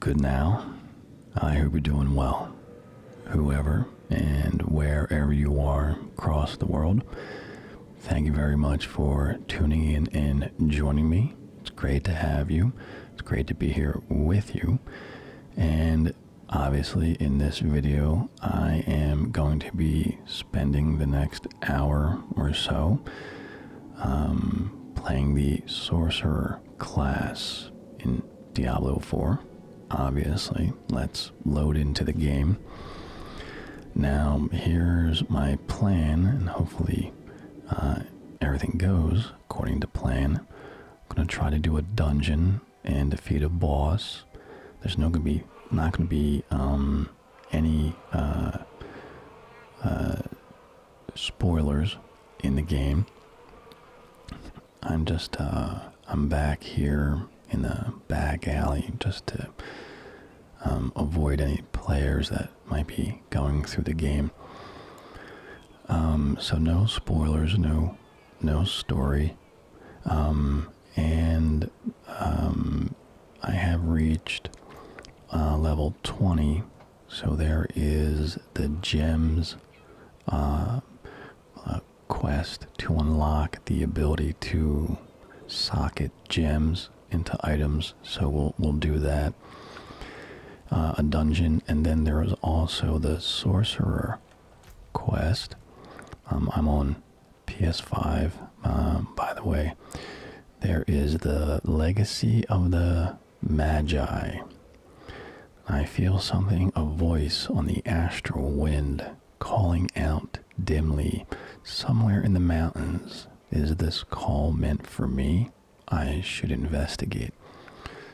Good now. I hope you're doing well. Whoever and wherever you are across the world, thank you very much for tuning in and joining me. It's great to have you. It's great to be here with you. And obviously, in this video, I am going to be spending the next hour or so um, playing the sorcerer class in Diablo 4. Obviously, let's load into the game. Now, here's my plan, and hopefully, uh, everything goes according to plan. I'm gonna try to do a dungeon and defeat a boss. There's no gonna be not gonna be um, any uh, uh, spoilers in the game. I'm just uh, I'm back here in the back alley just to um, avoid any players that might be going through the game. Um, so no spoilers, no no story, um, and I have reached uh, level 20 so there is the gems uh, uh, quest to unlock the ability to socket gems into items. So we'll we'll do that. Uh, a dungeon, and then there is also the sorcerer quest. Um, I'm on PS5, by the way. There is the legacy of the magi. I feel something, a voice on the astral wind calling out dimly. Somewhere in the mountains, is this call meant for me? I should investigate.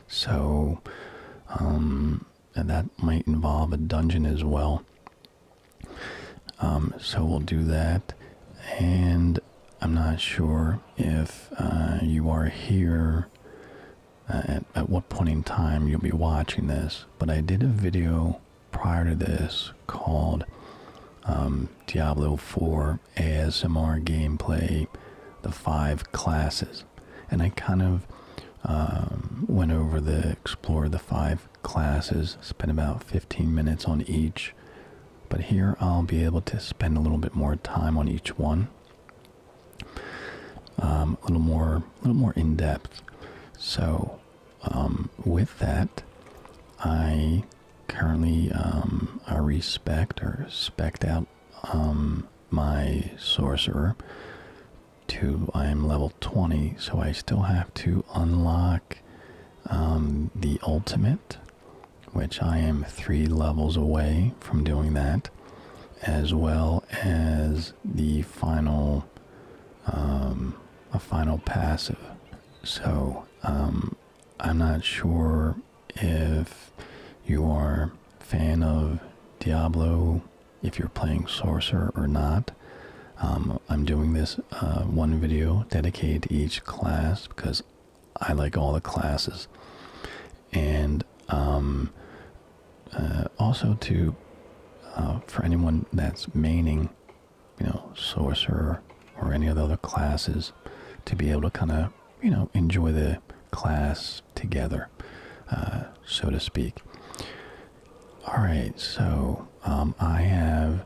So, um, that might involve a dungeon as well. Um, so we'll do that. And I'm not sure if uh, you are here uh, at, at what point in time you'll be watching this, but I did a video prior to this called um, Diablo 4 ASMR Gameplay The Five Classes. And I kind of um, went over the explore the five classes, spent about 15 minutes on each. But here I'll be able to spend a little bit more time on each one. Um, a little more, a little more in depth. So, um, with that, I currently um, I respect or spec out my sorcerer to I am level 20, so I still have to unlock the ultimate which I am three levels away from doing that, as well as the final, um, a final passive. So um, I'm not sure if you are fan of Diablo, if you're playing Sorcerer or not. Um, I'm doing this uh, one video dedicated to each class because I like all the classes, and um, uh, also to uh, for anyone that's maining, you know, sorcerer or any of the other classes, to be able to kind of you know enjoy the class together, uh, so to speak. All right, so um, I have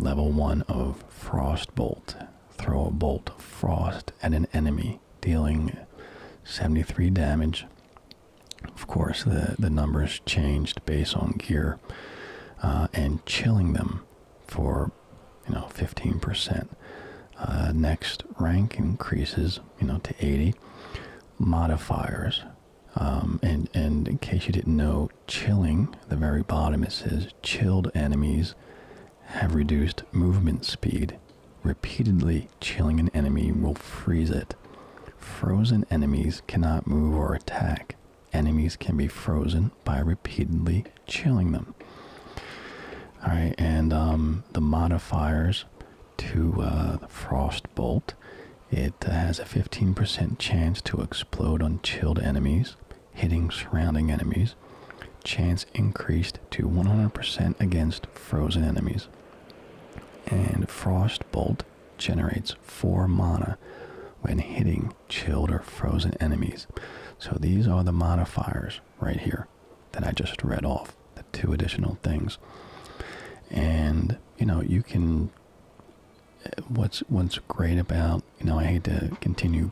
level one of frost bolt. Throw a bolt of frost at an enemy, dealing 73 damage. Of course, the, the numbers changed based on gear, uh, and chilling them for you know 15%. Uh, next rank increases you know to 80. Modifiers, um, and and in case you didn't know, chilling the very bottom it says chilled enemies have reduced movement speed. Repeatedly chilling an enemy will freeze it. Frozen enemies cannot move or attack. Enemies can be frozen by repeatedly chilling them. All right, and um, the modifiers to uh, the frost bolt. It has a 15% chance to explode on chilled enemies hitting surrounding enemies, chance increased to 100% against frozen enemies. And frost bolt generates 4 mana when hitting chilled or frozen enemies. So these are the modifiers right here that I just read off, the two additional things. And, you know, you can eh, what's what's great about you know I hate to continue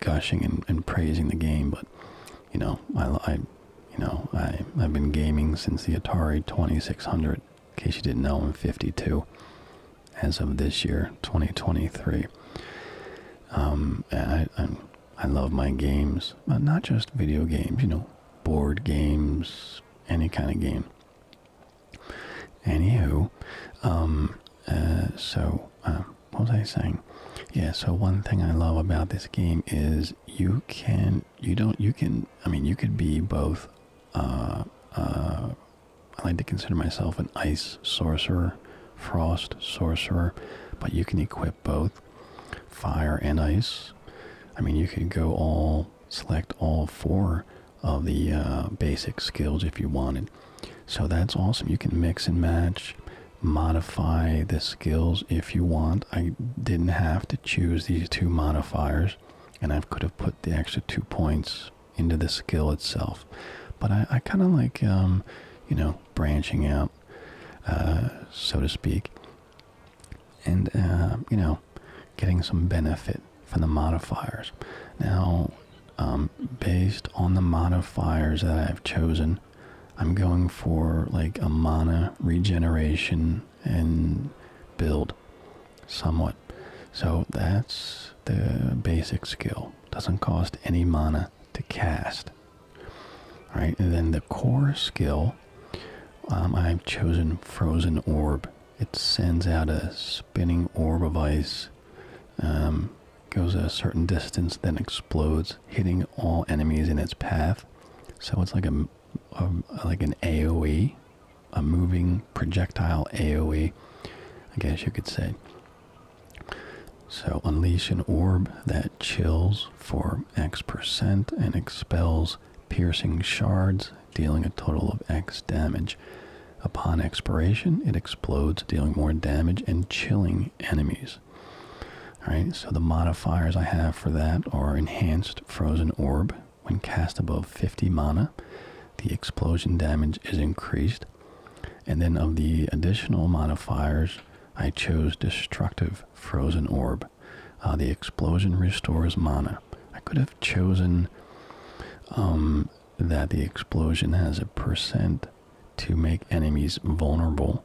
gushing and, praising the game, but you know, I, you know, I I've been gaming since the Atari 2600. In case you didn't know, I'm 52 as of this year, 2023. Um, I I, love my games, uh, not just video games, you know, board games, any kind of game. Anywho, um, uh, so. Uh, what was I saying? Yeah, so one thing I love about this game is you can you don't you can I mean you could be both uh uh I like to consider myself an ice sorcerer, frost sorcerer, but you can equip both fire and ice. I mean you could go all select all four of the uh, basic skills if you wanted. So that's awesome. You can mix and match modify the skills if you want. I didn't have to choose these two modifiers, and I could have put the extra two points into the skill itself. But I, kind of like, um, you know, branching out, uh, so to speak, and, uh, you know, getting some benefit from the modifiers. Now, um, based on the modifiers that I've chosen, I'm going for like a mana regeneration and build somewhat. So that's the basic skill. Doesn't cost any mana to cast. Right, and then the core skill, um, I've chosen Frozen Orb. It sends out a spinning orb of ice um, goes a certain distance, then explodes, hitting all enemies in its path. So it's like a, like an AOE, a moving projectile AOE, I guess you could say. So unleash an orb that chills for X percent and expels piercing shards, dealing a total of X damage. Upon expiration, it explodes, dealing more damage and chilling enemies. All right, so the modifiers I have for that are enhanced frozen orb. When cast above 50 mana, the explosion damage is increased. And then of the additional modifiers, I chose destructive frozen orb. Uh, the explosion restores mana. I could have chosen um, that the explosion has a percent to make enemies vulnerable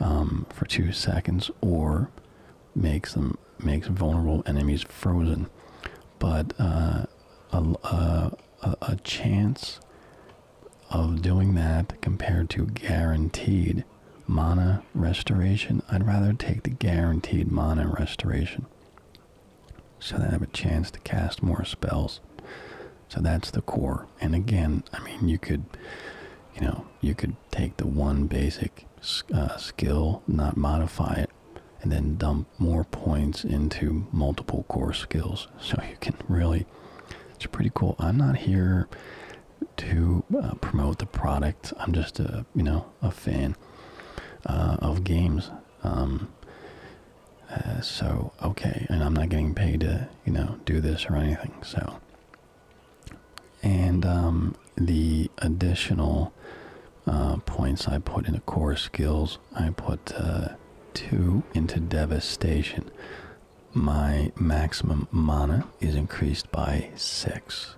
um, for two seconds, or makes them makes vulnerable enemies frozen. But uh, a, a a chance of doing that compared to guaranteed mana restoration, I'd rather take the guaranteed mana restoration so that I have a chance to cast more spells. So that's the core. And again, I mean, you could, you know, you could take the one basic uh, skill, not modify it, and then dump more points into multiple core skills. So you can really, it's pretty cool. I'm not here to uh, promote the product. I'm just a, you know, a fan uh, of games. Um, so okay, and I'm not getting paid to you know, do this or anything. So, and um, the additional uh, points I put into core skills, I put uh, two into devastation. My maximum mana is increased by six.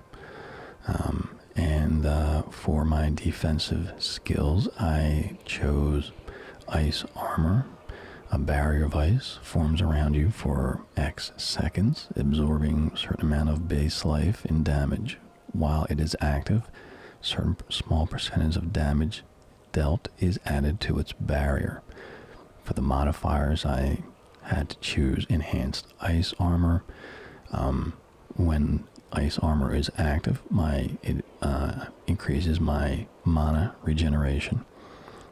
Um, and uh, for my defensive skills, I chose ice armor a barrier of ice forms around you for X seconds, absorbing a certain amount of base life in damage. While it is active, a certain small percentage of damage dealt is added to its barrier. For the modifiers, I had to choose enhanced ice armor. Um, when ice armor is active, my it uh, increases my mana regeneration.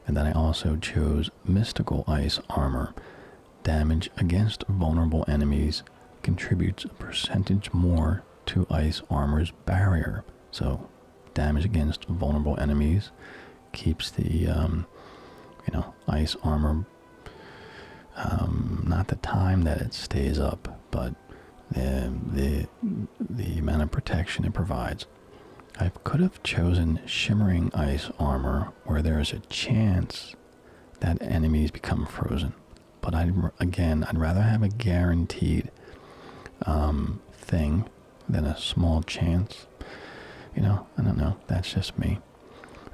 And then I also chose Mystical Ice Armor. Damage against vulnerable enemies contributes a percentage more to Ice Armor's barrier. So damage against vulnerable enemies keeps the, um, you know, Ice Armor, um, not the time that it stays up, but the, the amount of protection it provides. I could have chosen Shimmering Ice Armor where there is a chance that enemies become frozen. But I'd, again, I'd rather have a guaranteed um, thing than a small chance. You know, I don't know. That's just me.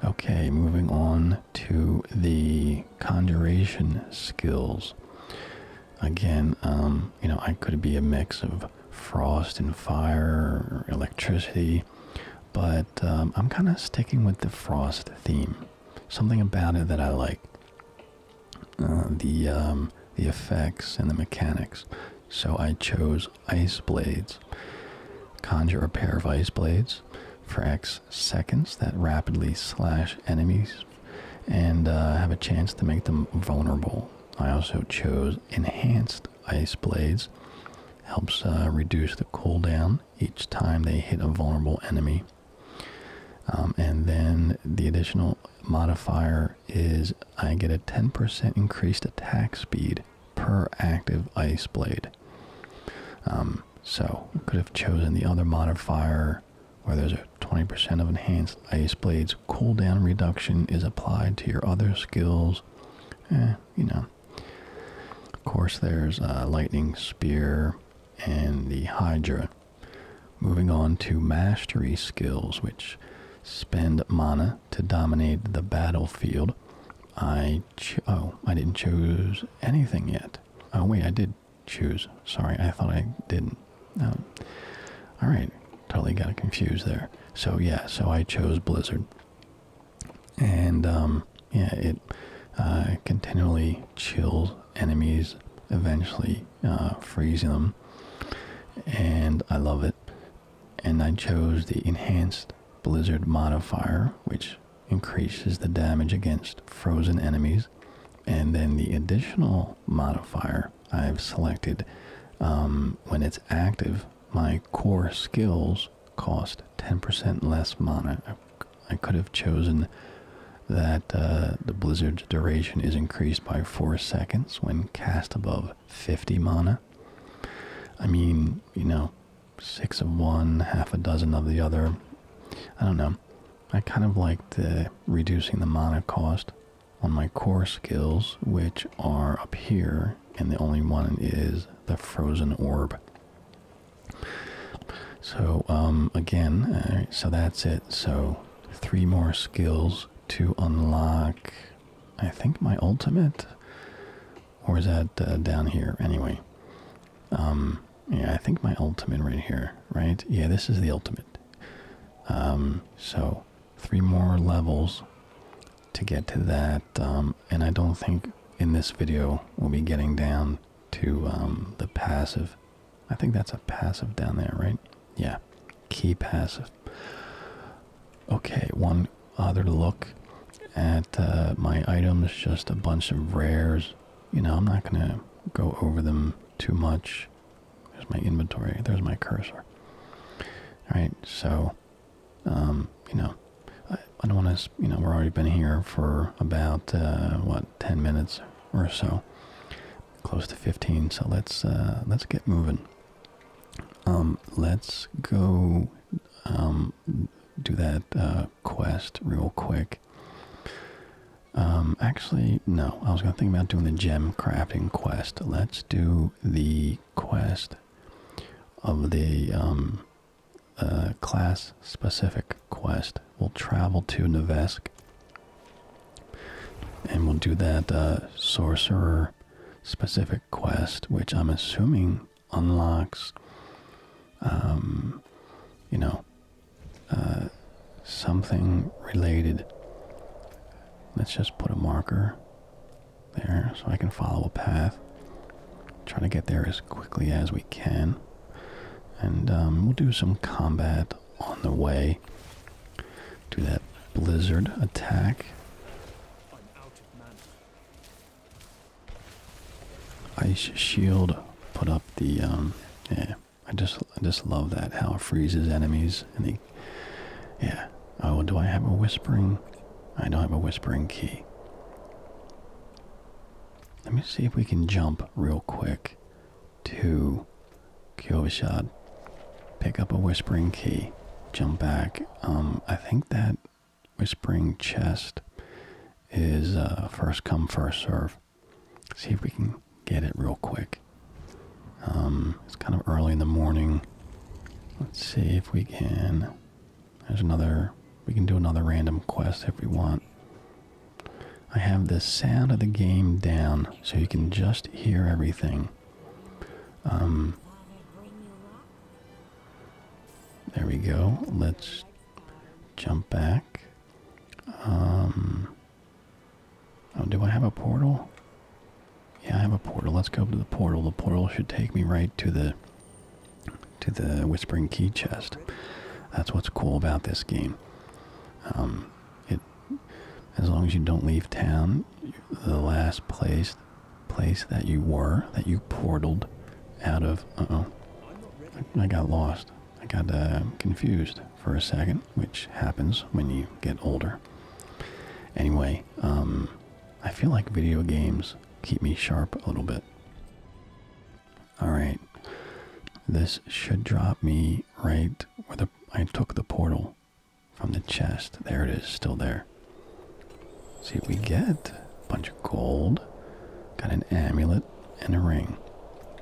Okay, moving on to the conjuration skills again, um, you know, I could be a mix of frost and fire, or electricity, but um, I'm kind of sticking with the frost theme. Something about it that I like. Uh, the um, the effects and the mechanics. So I chose ice blades. Conjure a pair of ice blades for X seconds that rapidly slash enemies and uh, have a chance to make them vulnerable. I also chose enhanced ice blades helps uh, reduce the cooldown each time they hit a vulnerable enemy. Um, and then the additional modifier is I get a 10% increased attack speed per active ice blade. Um, so I could have chosen the other modifier where there's a 20% of enhanced ice blades since cooldown reduction is applied to your other skills, eh, you know. Of course, there's uh, Lightning Spear and the Hydra. Moving on to Mastery skills, which spend mana to dominate the battlefield. I oh, I didn't choose anything yet. Oh wait, I did choose. Sorry, I thought I didn't. Um, all right, totally got confused there. So yeah, so I chose Blizzard, and um, yeah, it uh, continually chills enemies, eventually uh, freezing them, and I love it. And I chose the enhanced Blizzard modifier, which increases the damage against frozen enemies, and then the additional modifier I've selected. Um, when it's active, my core skills cost 10% less mana. I, could have chosen that uh, the blizzard duration is increased by 4 seconds when cast above 50 mana. I mean, you know, six of one, half a dozen of the other. I don't know. I kind of liked uh, reducing the mana cost on my core skills, which are up here, and the only one is the frozen orb. So, um, again, uh, so that's it. So, three more skills to unlock, I think, my ultimate? Or is that uh, down here? Anyway, um, yeah, I think my ultimate right here, right? Yeah, this is the ultimate. Um, so, three more levels to get to that, um, and I don't think in this video we'll be getting down to um, the passive. I think that's a passive down there, right? Yeah, key passive. Okay, one other look at uh, my items, just a bunch of rares. You know, I'm not going to go over them too much. There's my inventory. There's my cursor. All right, so, um, you know, I, don't want to, you know, we have already been here for about, uh, what, 10 minutes or so, close to 15. So let's, uh, let's get moving. Um, let's go, um, do that, uh, quest real quick. actually, no, I was going to think about doing the gem crafting quest. Let's do the quest of the um, uh, class specific quest. We'll travel to Nevesk and we'll do that uh, sorcerer specific quest, which I'm assuming unlocks, um, you know, uh, something related. Let's just put a marker there so I can follow a path. Try to get there as quickly as we can. And um, we'll do some combat on the way to that blizzard attack. Ice shield put up the um, yeah I just I just love that how it freezes enemies and they yeah. Oh, do I have a whispering? I don't have a whispering key. Let me see if we can jump real quick to Kyovashad. Pick up a whispering key. Jump back. Um, I think that whispering chest is uh, first come, first serve. See if we can get it real quick. Um, it's kind of early in the morning. Let's see if we can. There's another. We can do another random quest if we want. I have the sound of the game down so you can just hear everything. Um, there we go. Let's jump back. Um, oh, do I have a portal? Yeah, I have a portal. Let's go to the portal. The portal should take me right to the to the Whispering Key chest. That's what's cool about this game. Um, it as long as you don't leave town, the last place place that you were that you portaled out of. Uh oh, I, got lost. I got uh, confused for a second, which happens when you get older. Anyway, um, I feel like video games keep me sharp a little bit. Alright. This should drop me right where the I took the portal from the chest. There it is, still there. See what we get. A bunch of gold. Got an amulet and a ring.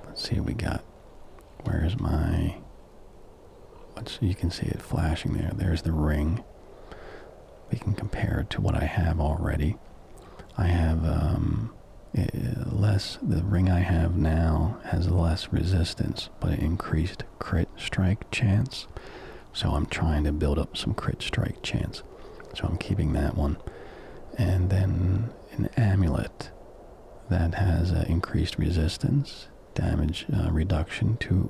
Let's see what we got. Where's my let you can see it flashing there. There's the ring. We can compare it to what I have already. I have um, less, the ring I have now has less resistance, but increased crit strike chance. So I'm trying to build up some crit strike chance. So I'm keeping that one. And then an amulet that has uh, increased resistance damage uh, reduction to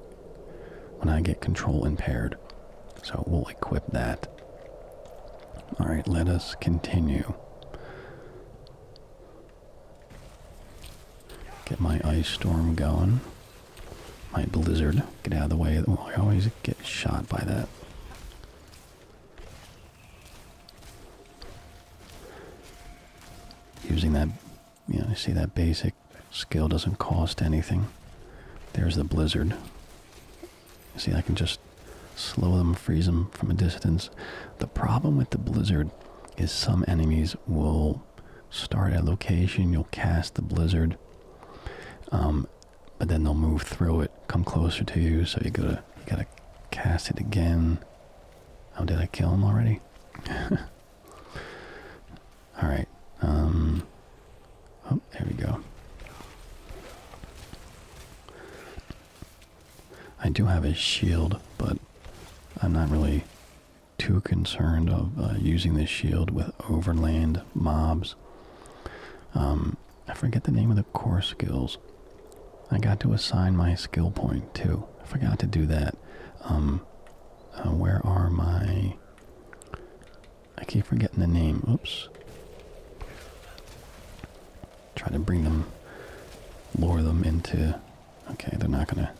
when I get control impaired. So we'll equip that. Alright, let us continue. Get my ice storm going. My blizzard. Get out of the way. Well, I always get shot by that. Using that you see that basic skill doesn't cost anything. There's the blizzard. see, I can just slow them, freeze them from a distance. The problem with the blizzard is some enemies will start at a location, you'll cast the blizzard, um, but then they'll move through it, come closer to you, so you gotta, gotta cast it again. Oh, did I kill him already? All right. Um, oh, there we go. I do have a shield, but I'm not really too concerned of uh, using this shield with overland mobs. Um, I forget the name of the core skills. I got to assign my skill point too. I forgot to do that. Um, uh, where are my I keep forgetting the name. Oops. Try to bring them, lure them into. Okay, they're not gonna.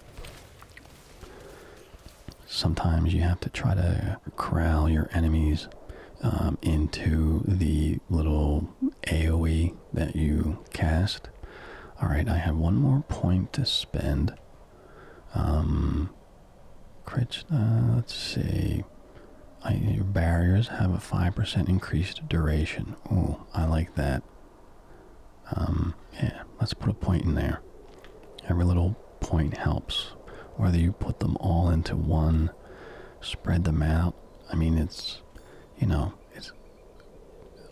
Sometimes you have to try to corral your enemies um, into the little AoE that you cast. All right, I have one more point to spend. Um, Crit, let's see. your barriers have a 5% increased duration. Oh, I like that. Um, yeah, let's put a point in there. Every little point helps. Whether you put them all into one, spread them out. I mean, it's, you know, it's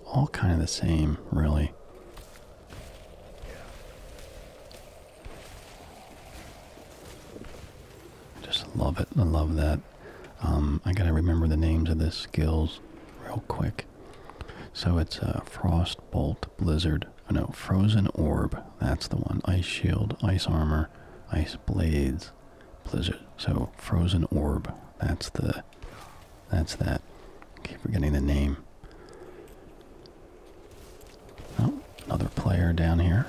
all kind of the same, really. I Just love it. I love that. Um, I gotta remember the names of the skills real quick. So it's a uh, frost bolt, blizzard. Oh, no, frozen orb. That's the one. Ice shield, ice armor, ice blades, blizzard. So frozen orb. That's the. That's that. keep forgetting the name. Oh, another player down here.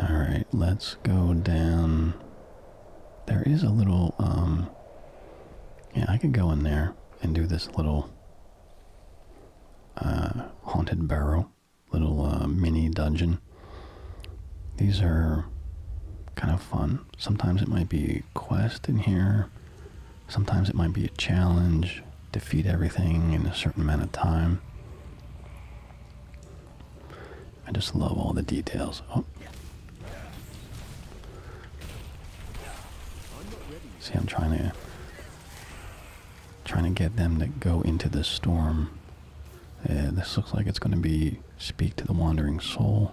All right, let's go down. There is a little, um, yeah, I could go in there and do this little uh, haunted barrel little uh, mini dungeon. These are kind of fun. Sometimes it might be quest in here. Sometimes it might be a challenge. Defeat everything in a certain amount of time. I just love all the details. Oh. See, I'm trying to trying to get them to go into the storm uh, this looks like it's going to be Speak to the Wandering Soul.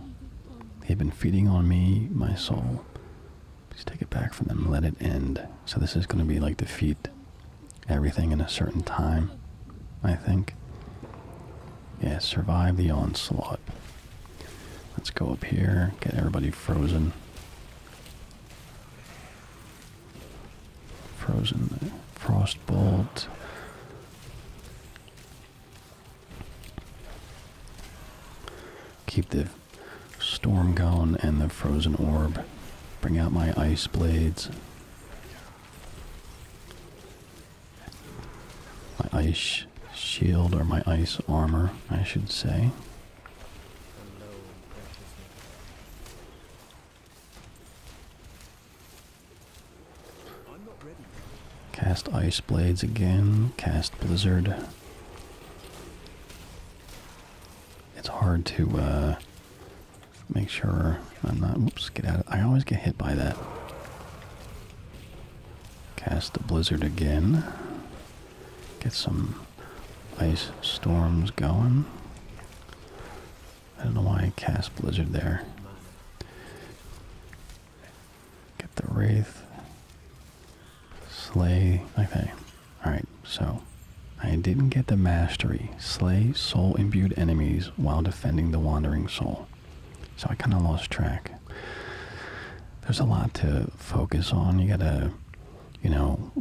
They've been feeding on me, my soul. Please take it back from them. Let it end. So this is going to be like defeat everything in a certain time, I think. Yeah, survive the onslaught. Let's go up here, get everybody frozen. Frozen there. Frostbolt. Keep the storm going and the frozen orb. Bring out my ice blades. My ice shield or my ice armor, I should say. Cast Ice Blades again. Cast Blizzard. It's hard to uh, make sure I'm not. Whoops, get out of. I always get hit by that. Cast the Blizzard again. Get some ice storms going. I don't know why I cast Blizzard there. Get the Wraith. Slay. Okay. Alright, so I didn't get the mastery. Slay soul imbued enemies while defending the wandering soul. So I kind of lost track. There's a lot to focus on. You gotta, you know,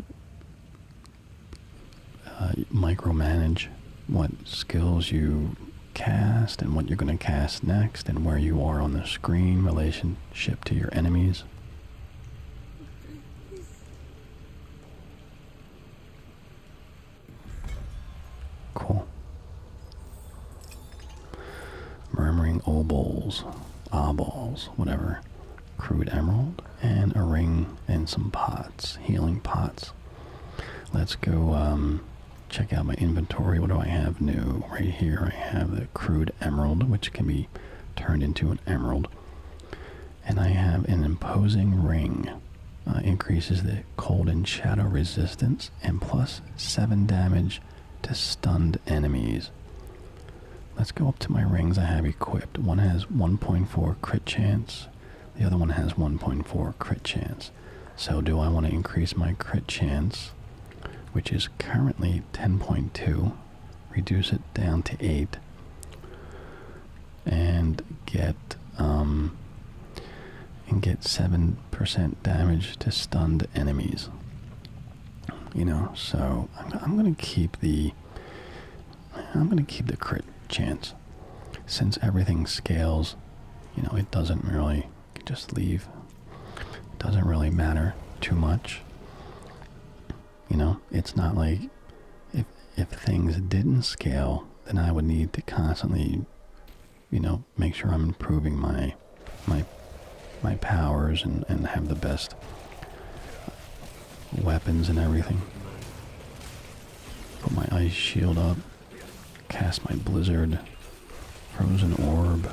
uh, micromanage what skills you cast and what you're going to cast next and where you are on the screen relationship to your enemies. Cool. Murmuring obols, eyeballs, whatever. Crude emerald, and a ring and some pots, healing pots. Let's go um, check out my inventory. What do I have new? Right here I have the crude emerald, which can be turned into an emerald. And I have an imposing ring. Uh, increases the cold and shadow resistance and plus 7 damage to stunned enemies. Let's go up to my rings I have equipped. One has 1.4 crit chance, the other one has 1.4 crit chance. So do I want to increase my crit chance, which is currently 10.2, reduce it down to 8, and get um, and get 7% damage to stunned enemies. You know, so I'm, I'm going to keep the I'm going to keep the crit chance. Since everything scales, you know, it doesn't really just leave. It doesn't really matter too much. You know, it's not like if if things didn't scale, then I would need to constantly, you know, make sure I'm improving my my my powers and, and have the best weapons and everything. Put my ice shield up. Cast my blizzard. Frozen orb.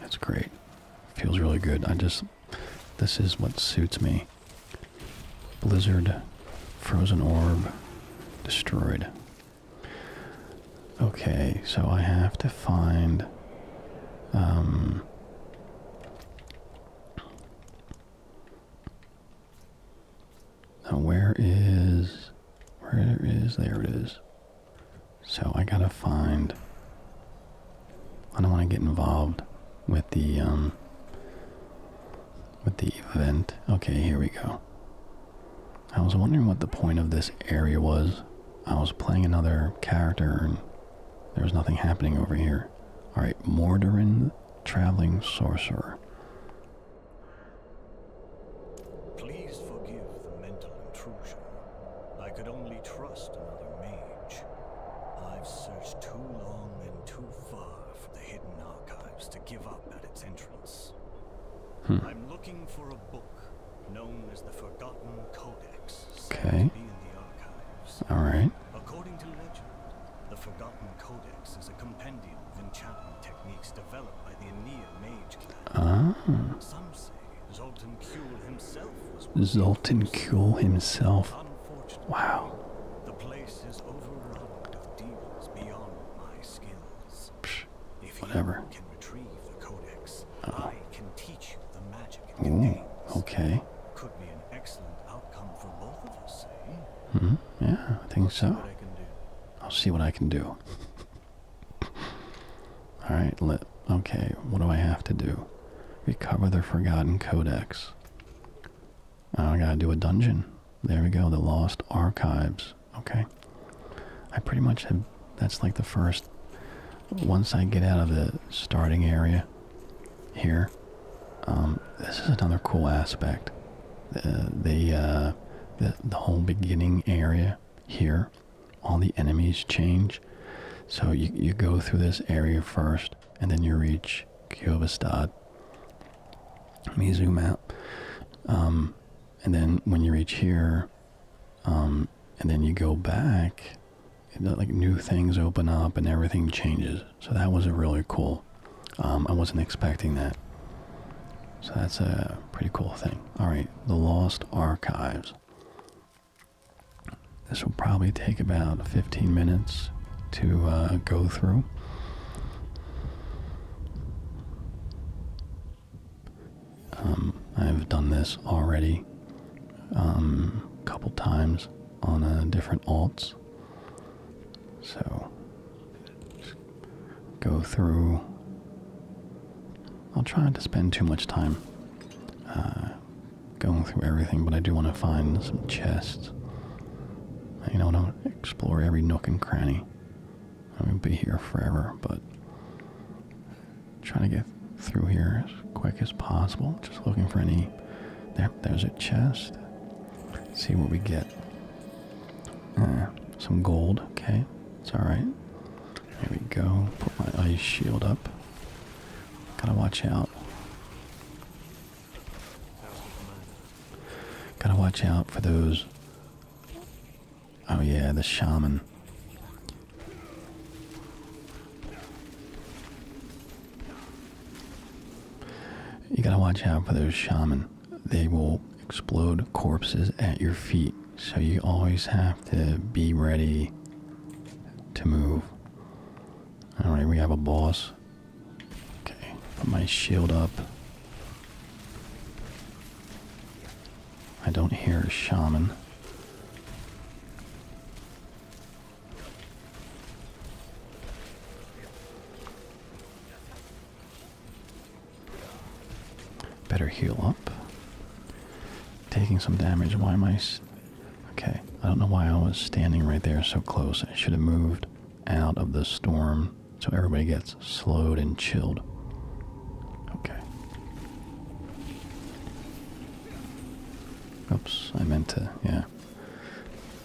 That's great. Feels really good. I just. This is what suits me. Blizzard. Frozen orb. Destroyed. Okay, so I have to find. Um, now where is where is there it is. So I gotta find I don't wanna get involved with the um with the event. Okay, here we go. I was wondering what the point of this area was. I was playing another character and there was nothing happening over here. Sorcerer. Alright, Mordoran Traveling Sorcerer. Please forgive the mental intrusion. I could only trust another mage. I've searched too long and too far for the hidden archives to give up at its entrance. Hmm. I'm looking for a book known as the Forgotten Codex. Okay. All right. According to legend, the Forgotten Codex is a compendium of enchantment techniques developed by the Aeneid mage clan. Ah. Some say Zoltan Kuhl himself Zoltan Kuhl himself. Wow. The place is overrun with devils beyond my skills. Psh, if whatever. you can retrieve the codex, oh. I can teach you the magic Okay. Could be an excellent outcome for both of us, eh? hmm. Yeah, I think so. I will see what I can do. All right. Let. Okay. What do I have to do? Recover the forgotten codex. I gotta do a dungeon. There we go. The lost archives. Okay. I pretty much have. That's like the first. Once I get out of the starting area, here. Um, this is another cool aspect. Uh, the uh, the, the whole beginning area here, all the enemies change. So you you go through this area first, and then you reach Kyovastad. Let me zoom out. and then when you reach here, um, and then you go back like new things open up and everything changes. So that was really cool. Um, I wasn't expecting that. So that's a pretty cool thing. All right, the Lost Archives. This will probably take about 15 minutes to uh, go through. Um, I've done this already a um, couple times on uh, different alts. So go through. I'll try not to spend too much time uh, going through everything, but I do want to find some chests. You know, don't explore every nook and cranny. I mean, be here forever, but trying to get through here as quick as possible. Just looking for any. There there's a chest. see what we get. Uh, some gold, okay. It's alright. Here we go. Put my ice shield up. Gotta watch out. Gotta watch out for those. Oh yeah, the shaman. You gotta watch out for those shaman. They will explode corpses at your feet. So you always have to be ready to move. Alright, we have a boss. Okay, put my shield up. I don't hear a shaman. Better heal up. Taking some damage. Why am I. Okay, I don't know why I was standing right there so close. I should have moved out of the storm so everybody gets slowed and chilled. Okay. Oops, I meant to, yeah.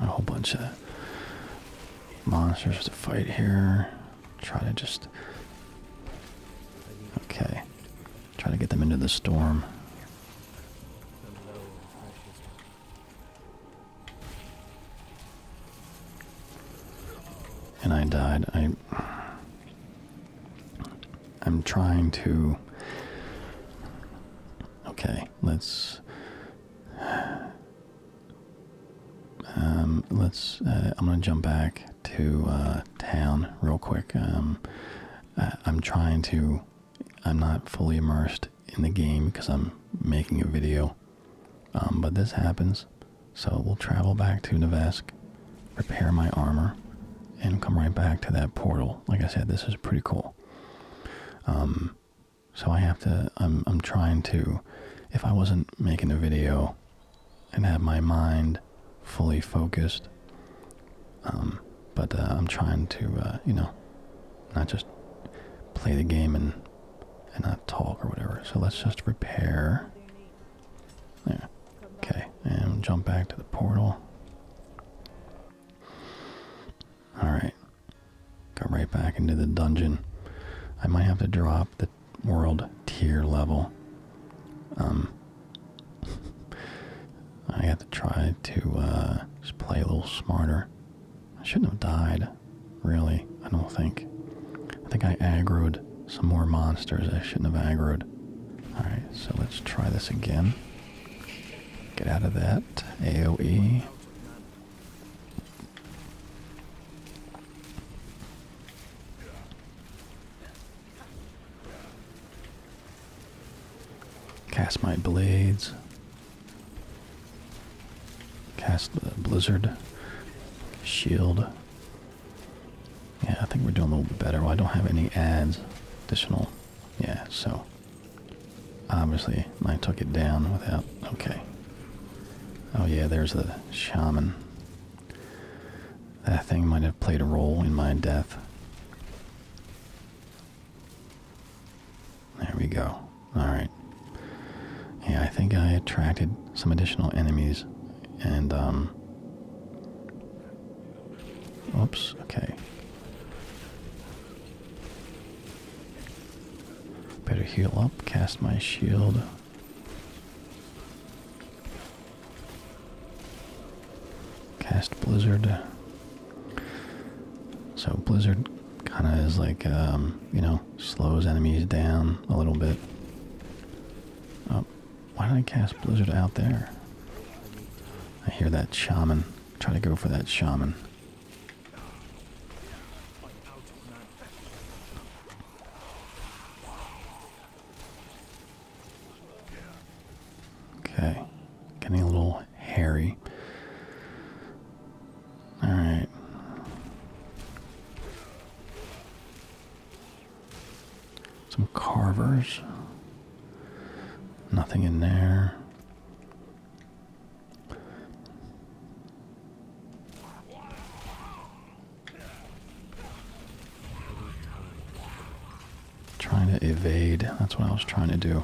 a whole bunch of monsters to fight here. Try to just okay. Try to get them into the storm. And I died. I I'm trying to Okay, let's um, let's uh, I'm gonna jump back to uh, town real quick I, am um, uh, trying to I'm not fully immersed in the game because I'm making a video um, but this happens so we'll travel back to Nevesk repair my armor and come right back to that portal like I said this is pretty cool so I have to, I'm, I'm trying to, if I wasn't making a video and have my mind fully focused, um, but uh, I'm trying to, uh, you know, not just play the game and, and not talk or whatever. So let's just repair. There. Okay. And jump back to the portal. Alright. Come right back into the dungeon. I might have to drop the world tier level. Um, I have to try to uh, just play a little smarter. I shouldn't have died, really. I don't think. I think I aggroed some more monsters I shouldn't have aggroed. Alright, so let's try this again. Get out of that AoE. Cast my blades. Cast the blizzard. Shield. Yeah, I think we're doing a little bit better. Well, I don't have any ads. Additional. Yeah, so. Obviously, I took it down without. Okay, Oh yeah, there's the shaman. That thing might have played a role in my death. There we go. Alright. Yeah, I think I attracted some additional enemies and um Oops, okay. Better heal up, cast my shield. Cast Blizzard. So Blizzard kind of is like, um, you know, slows enemies down a little bit. Oh, why did I cast Blizzard out there? I hear that shaman. Try to go for that shaman. Okay, getting a little hairy. All right. Some carvers. Nothing in there. Trying to evade. That's what I was trying to do.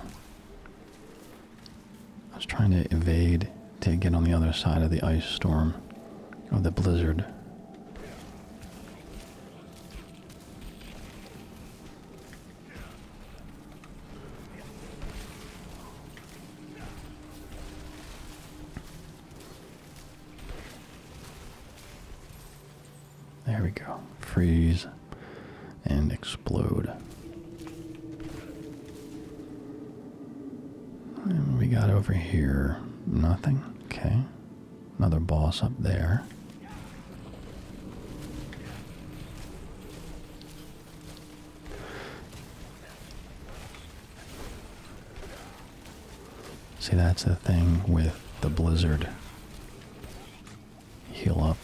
I was trying to evade to get on the other side of the ice storm, of the blizzard. There we go. Freeze and explode. we got over here nothing. Okay. Another boss up there. See, that's the thing with the blizzard. Heal up.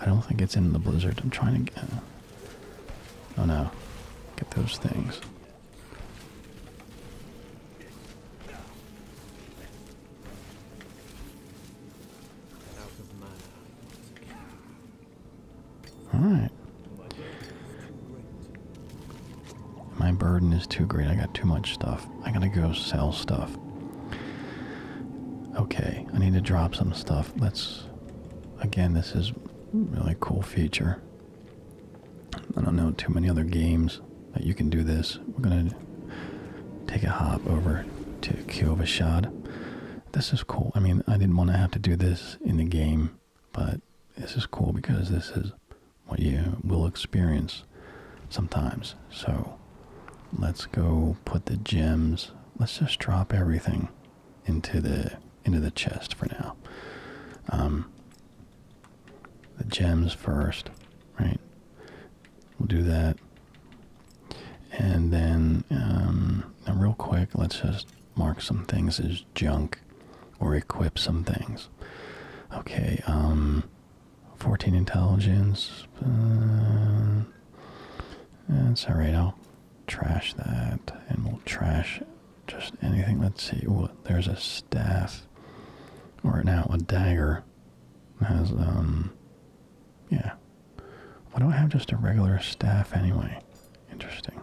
I don't think it's in the blizzard. I'm trying to get. Oh no. Get those things. Alright. My burden is too great. I got too much stuff. I gotta go sell stuff. Okay, I need to drop some stuff. Let's. Again, this is really cool feature. I don't know too many other games that you can do this. We're gonna take a hop over to Kyovashad this is cool. I mean, I didn't want to have to do this in the game, but this is cool because this is what you will experience sometimes. So let's go put the gems. Let's just drop everything into the into the chest for now. Um, the gems first, right? We'll do that. And then, um, real quick, let's just mark some things as junk or equip some things. Okay, um, 14 intelligence. Uh, that's alright, I'll trash that and we'll trash just anything. Let's see. Ooh, there's a staff. Or now a dagger has, um, yeah, why do I have just a regular staff anyway? Interesting.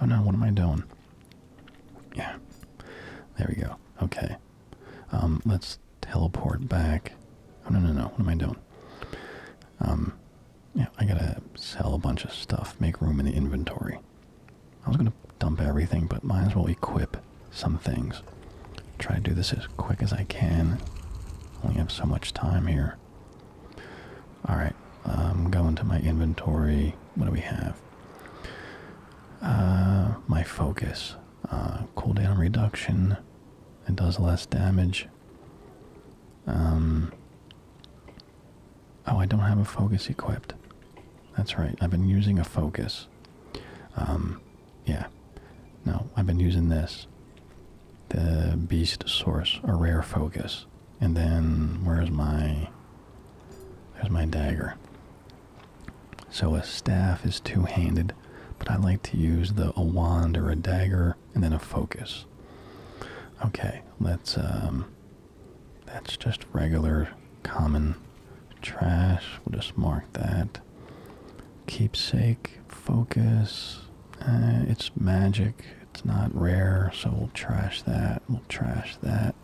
Oh no, what am I doing? Yeah. There we go. Okay. Um, let's teleport back. Oh no no no, what am I doing? Um, yeah, I gotta sell a bunch of stuff, make room in the inventory. I was gonna dump everything, but might as well equip some things. Try to do this as quick as I can. Only have so much time here. Alright, I'm going to my inventory. What do we have? Uh, my focus. Uh, cooldown reduction. It does less damage. Um, oh, I don't have a focus equipped. That's right, I've been using a focus. Um, yeah. No, I've been using this the beast source, a rare focus. And then where's my there's my dagger. So a staff is two-handed, but I like to use the a wand or a dagger and then a focus. Okay, let's um that's just regular common trash. We'll just mark that. Keepsake, focus. Uh, it's magic. It's not rare, so we'll trash that. We'll trash that.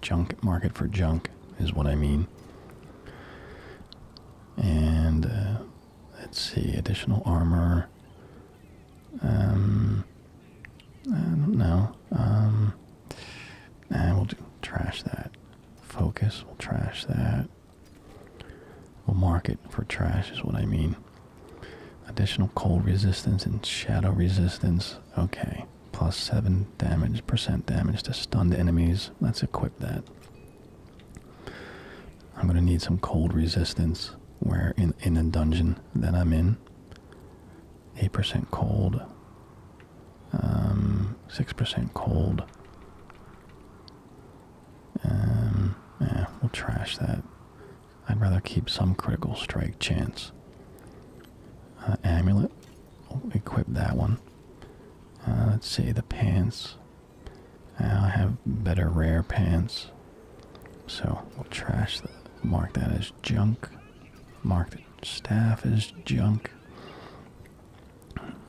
Junk market for junk is what I mean. And uh, let's see, additional armor. Um, I don't know. Um, and we'll do, trash that. Focus, we'll trash that. A market for trash is what I mean. Additional cold resistance and shadow resistance. Okay. Plus 7 damage, percent damage to stunned enemies. Let's equip that. I'm going to need some cold resistance where in, in the dungeon that I'm in. 8% cold. Um, 6% cold. Um, we'll trash that. I'd rather keep some critical strike chance. Uh, amulet, equip that one. Uh, let's see, the pants. I have better rare pants. So we'll trash that. Mark that as junk. Mark the staff as junk.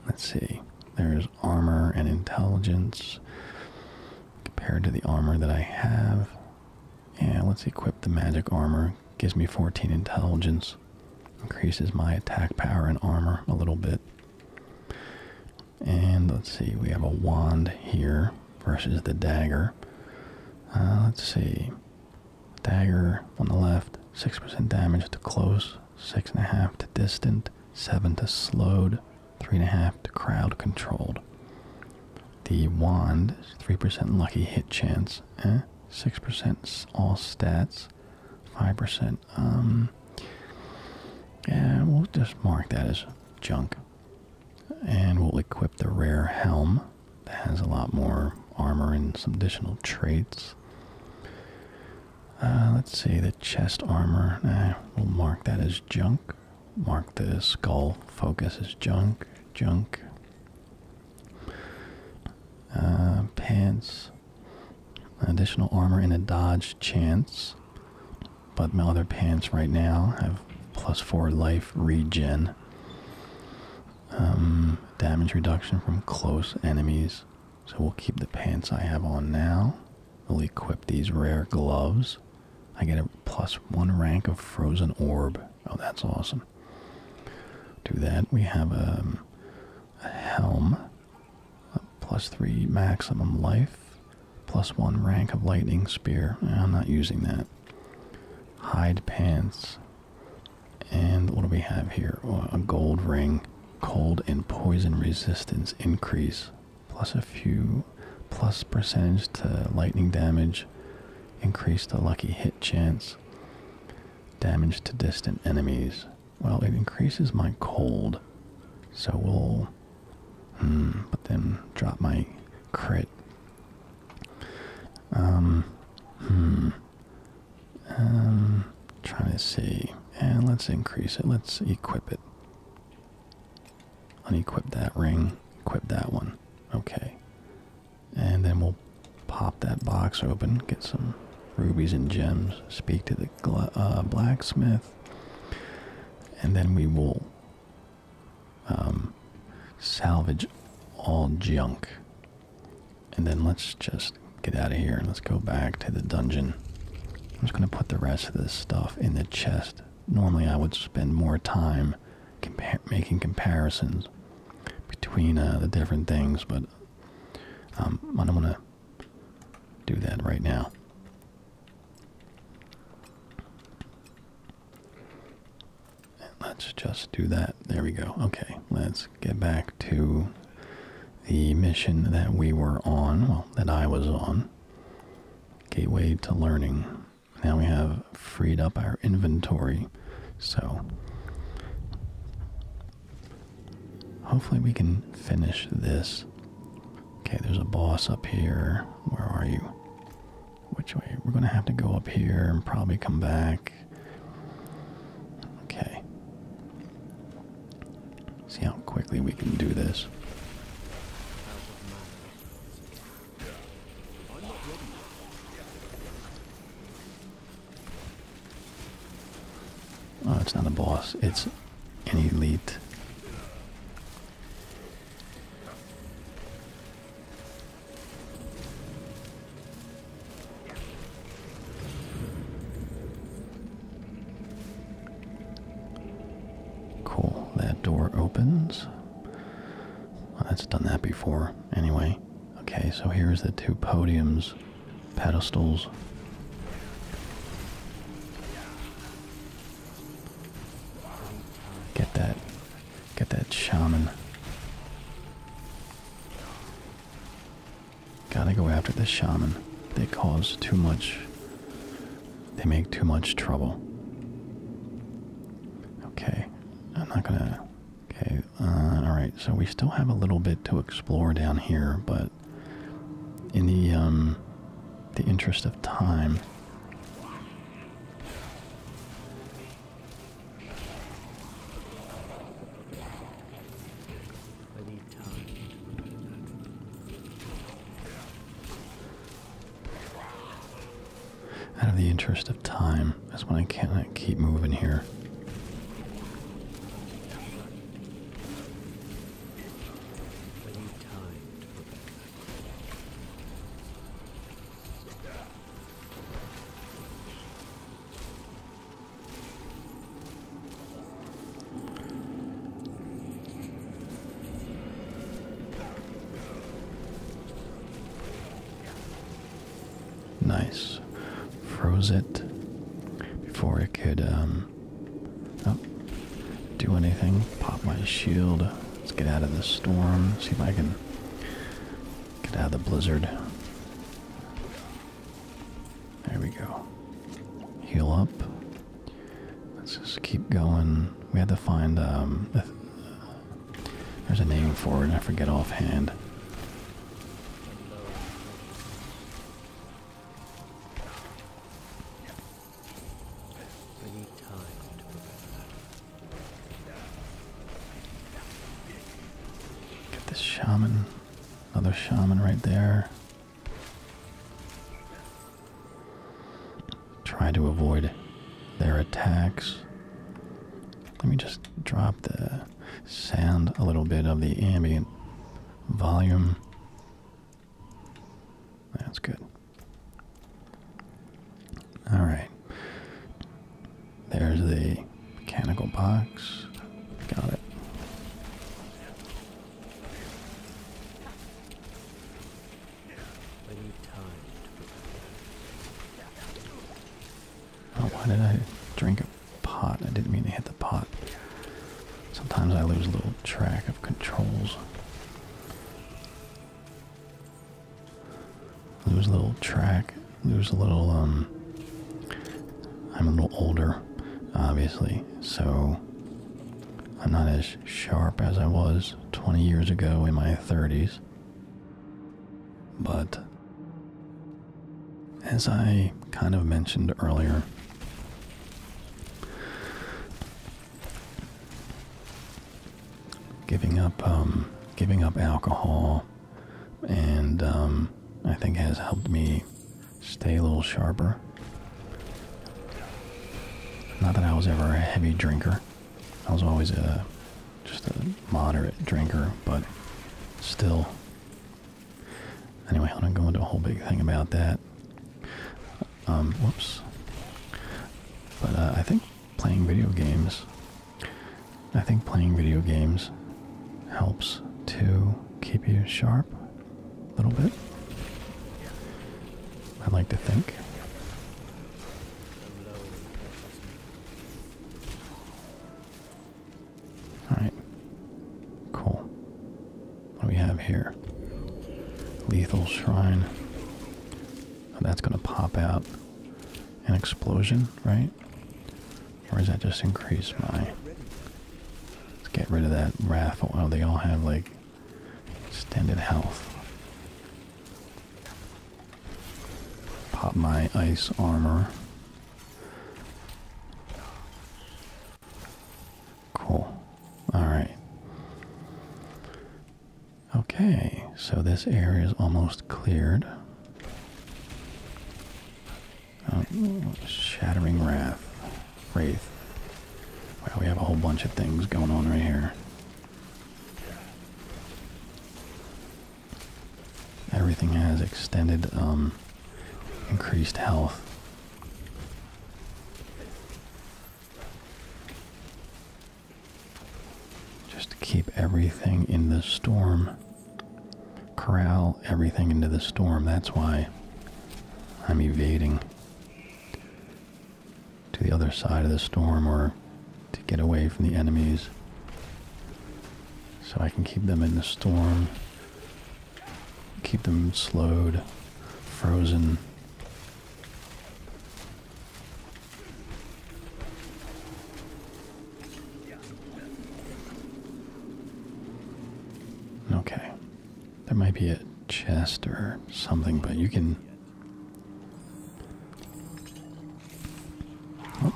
Let's see. There's armor and intelligence compared to the armor that I have. And let's equip the magic armor. Gives me 14 intelligence. Increases my attack power and armor a little bit. And let's see, we have a wand here versus the dagger. Uh, let's see. Dagger on the left, 6% damage to close, 6.5 to distant, 7 to slowed, three and a half to crowd controlled. The wand three percent lucky hit chance, eh? Six percent all stats, five percent. Um, yeah, we'll just mark that as junk, and we'll equip the rare helm that has a lot more armor and some additional traits. Uh, let's see the chest armor. Nah, we'll mark that as junk. Mark the skull focus as junk. Junk. Uh, pants. Additional armor and a dodge chance. But my other pants right now have plus four life regen. Um, damage reduction from close enemies. So we'll keep the pants I have on now. We'll equip these rare gloves. I get a plus one rank of frozen orb. Oh, that's awesome. To that, we have um, a helm, a uh, plus three maximum life, plus one rank of lightning spear. I'm not using that. Hide pants. And what do we have here? Oh, a gold ring, cold and poison resistance increase plus a few plus percentage to lightning damage, increase the lucky hit chance, damage to distant enemies. Well, it increases my cold, so we'll. Hmm, but then drop my crit. Um, hmm. Um, trying to see. And let's increase it. Let's equip it unequip that ring, equip that one. Okay. And then we'll pop that box open, get some rubies and gems, speak to the uh, blacksmith, and then we will um, salvage all junk. And then let's just get out of here and let's go back to the dungeon. I'm just going to put the rest of this stuff in the chest normally I would spend more time making comparisons between uh, the different things, but um, I don't want to do that right now. let's just do that. There we go. Okay, let's get back to the mission that we were on, well, that I was on. Gateway to Learning now we have freed up our inventory, so hopefully we can finish this. Okay, there's a boss up here. Where are you? Which way? We're gonna have to go up here and probably come back. Okay. See how quickly we can do this. Oh, it's not a boss. It's an elite. Cool. That door opens. Well, that's done that before. Anyway, okay, so here's the two podiums, pedestals. Get that, get that shaman. Gotta go after this shaman. They cause too much they make too much trouble. Okay, I'm not gonna. Okay, uh, alright, so we still have a little bit to explore down here, but in the, um, the interest of time out of the interest of time. That's when I can't keep moving here. Nice. Froze it before it could um, oh, do anything. Pop my shield. Let's get out of the storm. See if I can get out of the blizzard. There we go. Heal up. Let's just keep going. We had to find, um, there's a name for it, I forget offhand. We Get this shaman, another shaman right there. Try to avoid their attacks. Let me just drop the sound a little bit of the ambient volume. That's good. Alright. There's the mechanical box. Got it. Oh, why did I drink a pot? I didn't mean to hit the pot. Sometimes I lose a little track of controls. Lose a little track. Lose a little, um... I'm a little older, obviously, so I'm not as sharp as I was 20 years ago in my 30s. But as I kind of mentioned earlier, giving up um, giving up alcohol and um, I think has helped me stay a little sharper. Not that I was ever a heavy drinker, I was always a just a moderate drinker, but still. Anyway, I don't go into a whole big thing about that. Um, whoops. But uh, I think playing video games, I think playing video games helps to keep you sharp a little bit. I like to think. Alright. Cool. What do we have here? Lethal Shrine. Oh, that's going to pop out an explosion, right? Or is that just increase my... Let's get rid of that raffle. Oh, they all have, like, extended health. Pop my ice armor. Cool. Alright. Okay, so this area is almost cleared. Um, shattering Wrath. Wraith. Wow, we have a whole bunch of things going on right here. Everything has extended, um, increased health. Just to keep everything in the storm. Corral everything into the storm. That's why I'm evading to the other side of the storm or to get away from the enemies so I can keep them in the storm, keep them slowed, frozen. Okay, there might be a chest or something, but you can Oh.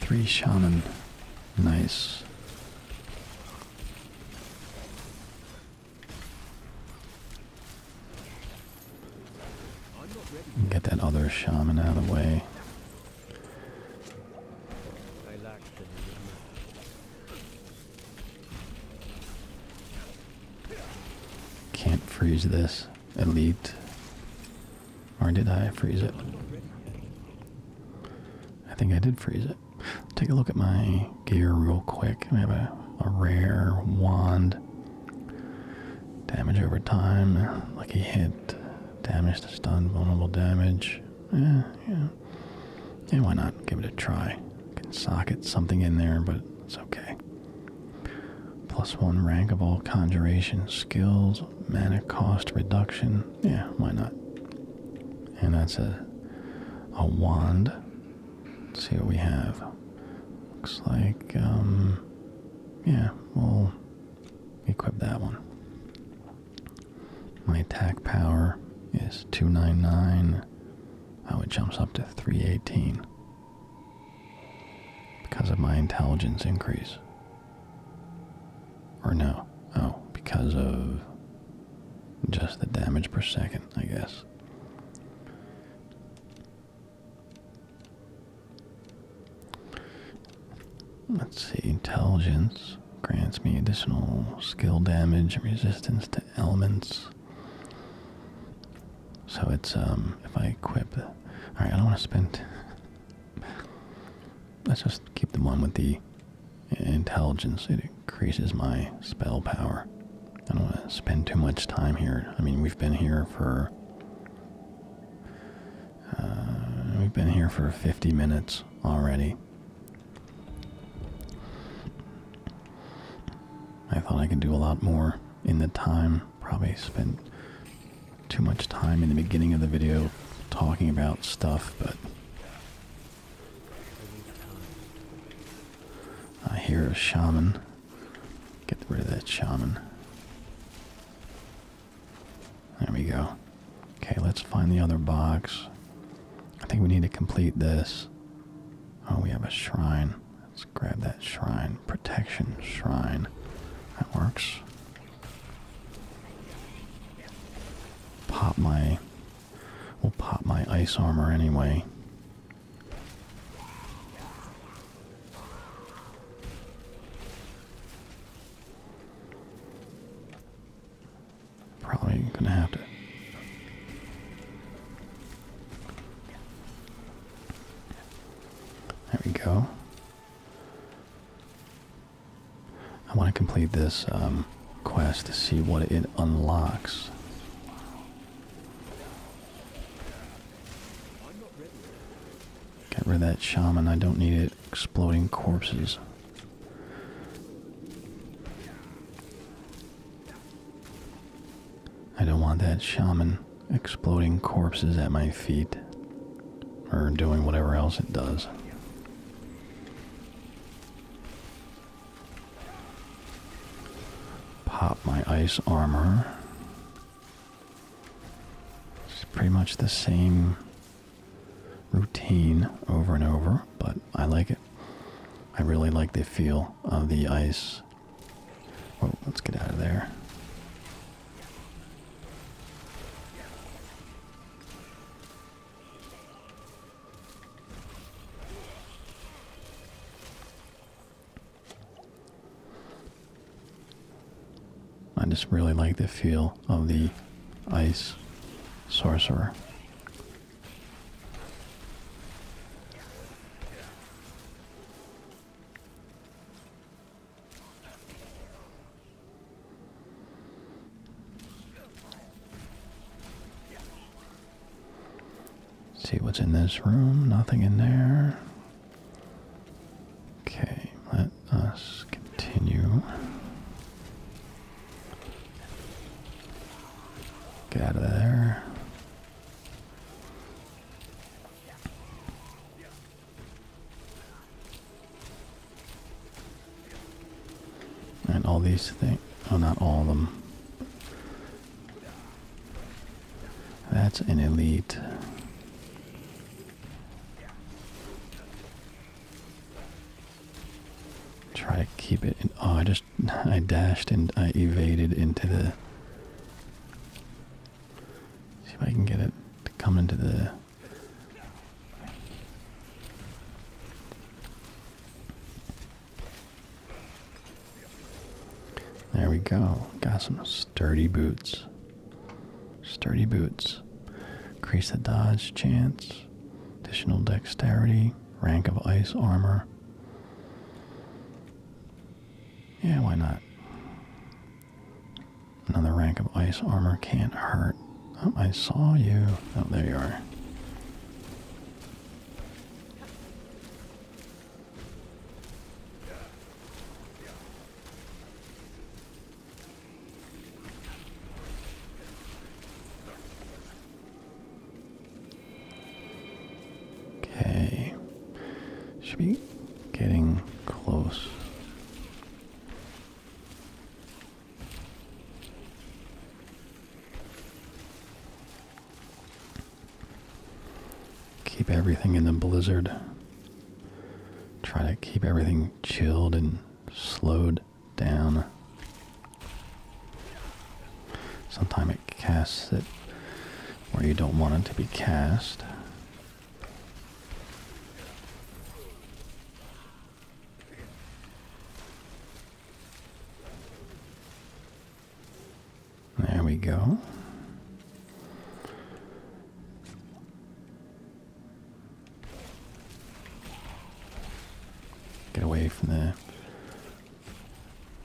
Three shaman. Nice. Get that other shaman out of the way. Can't freeze this. Elite. Or did I freeze it? I think I did freeze it. Take a look at my gear real quick. I have a, rare wand. Damage over time. Lucky hit. Damage to stun. Vulnerable damage. Eh, yeah, yeah. And why not? Give it a try can socket something in there, but it's okay. Plus one rank of all conjuration skills, mana cost reduction. Yeah, why not? And that's a a wand. see what we have. Looks like um yeah, we'll equip that one. My attack power is 299 how it jumps up to 318 because of my intelligence increase. Or no, oh, because of just the damage per second, I guess. Let's see, intelligence grants me additional skill damage and resistance to elements. So it's um if I equip all right, I don't want to spend Let's just keep the one with the intelligence. It increases my spell power. I don't want to spend too much time here. I mean, we've been here for uh, we've been here for 50 minutes already. I thought I could do a lot more in the time. Probably spent too much time in the beginning of the video talking about stuff, but I hear a shaman. Get rid of that shaman. There we go. Okay, let's find the other box. I think we need to complete this. Oh, we have a shrine grab that shrine. Protection shrine. That works. Pop my... We'll pop my ice armor anyway. Probably gonna have to there we go. I want to complete this um, quest to see what it unlocks. Get rid of that shaman. I don't need it exploding corpses. I don't want that shaman exploding corpses at my feet or doing whatever else it does. Pop my ice armor. It's pretty much the same routine over and over, but I like it. I really like the feel of the ice else. let's get out of there. I just really like the feel of the ice sorcerer. See what's in this room. Nothing in there. Okay, let us continue. Get out of there. And all these things. Oh, not all of them. That's an elite. Try to keep it in. Oh, I just I dashed and I evaded into the. See if I can get it to come into the. There we go. Got some sturdy boots. Sturdy boots. Increase the dodge chance. Additional dexterity. Rank of ice armor. Yeah, why not? Another rank of ice armor can't hurt. Oh, I saw you. Oh, there you are. Okay. Should be getting close. Keep everything in the blizzard. Try to keep everything chilled and slowed down. Sometime it. Cast it where you don't want it to be cast. There we go. Get away from there.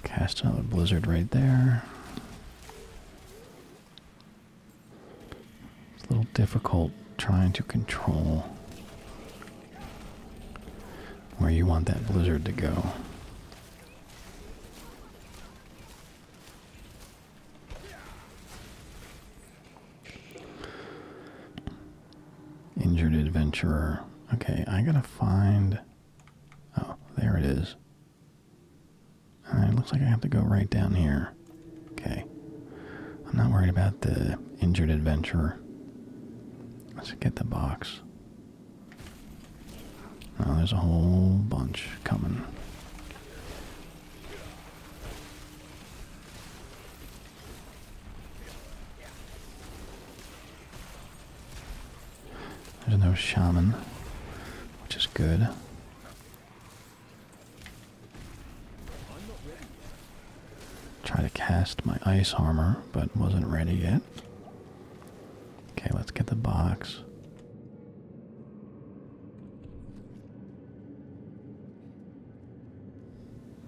Cast another blizzard right there. It's a little difficult trying to control where you want that blizzard to go. Injured adventurer. Okay, I gotta find. Oh, there it is it looks like I have to go right down here. Okay. I'm not worried about the injured adventurer. Let's get the box. Oh, there's a whole bunch coming. There's no shaman, which is good. Try to cast my ice armor, but wasn't ready yet. Okay, let's get the box.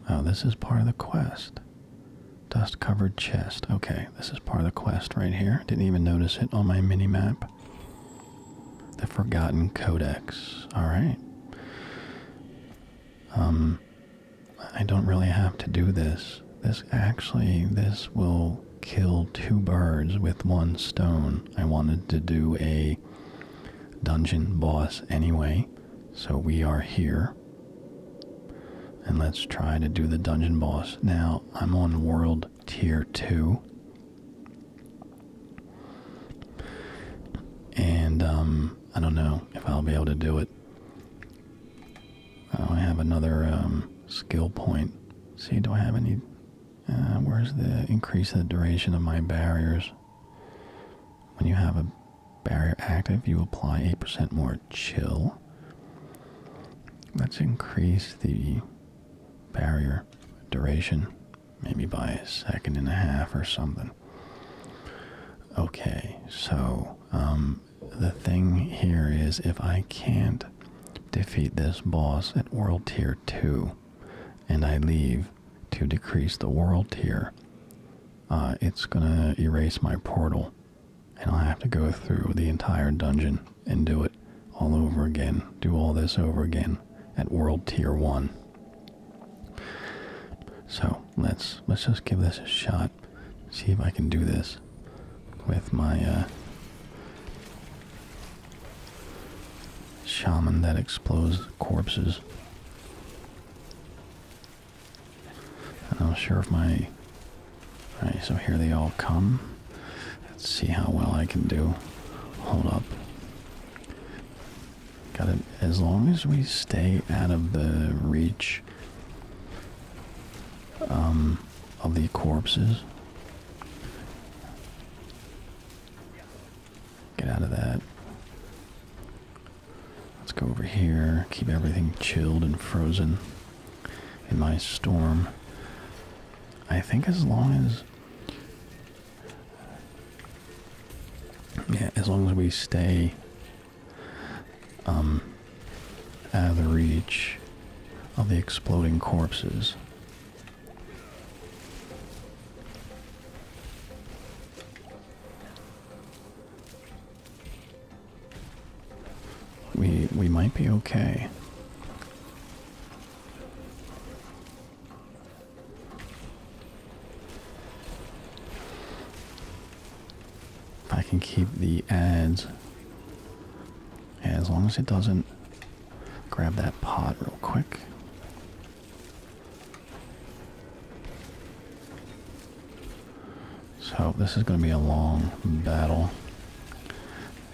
Oh, this is part of the quest. Dust covered chest. Okay this is part of the quest right here. Didn't even notice it on my mini map. The Forgotten Codex. Alright. Um I don't really have to do this. This actually this will kill two birds with one stone. I wanted to do a dungeon boss anyway. So we are here. And let's try to do the dungeon boss. Now, I'm on world tier 2. And um, I don't know if I'll be able to do it. Oh, I have another um, skill point. See, do I have any? Uh, where's the increase the duration of my barriers? When you have a barrier active, you apply 8% more chill. Let's increase the barrier duration, maybe by a second and a half or something. Okay, so um, the thing here is if I can't defeat this boss at World Tier 2 and I leave to decrease the World Tier, uh, it's gonna erase my portal and I'll have to go through the entire dungeon and do it all over again, do all this over again at world tier one. So let's let's just give this a shot. See if I can do this with my uh, shaman that explodes corpses. I'm not sure if my all right, so here they all come. Let's see how well I can do. Hold up. Got it. As long as we stay out of the reach um, of the corpses. Get out of that. Let's go over here. Keep everything chilled and frozen in my storm. I think as long as as long as we stay um, out of the reach of the exploding corpses. We we might be okay. I can keep the ads as long as it doesn't grab that pot real quick. So, this is going to be a long battle.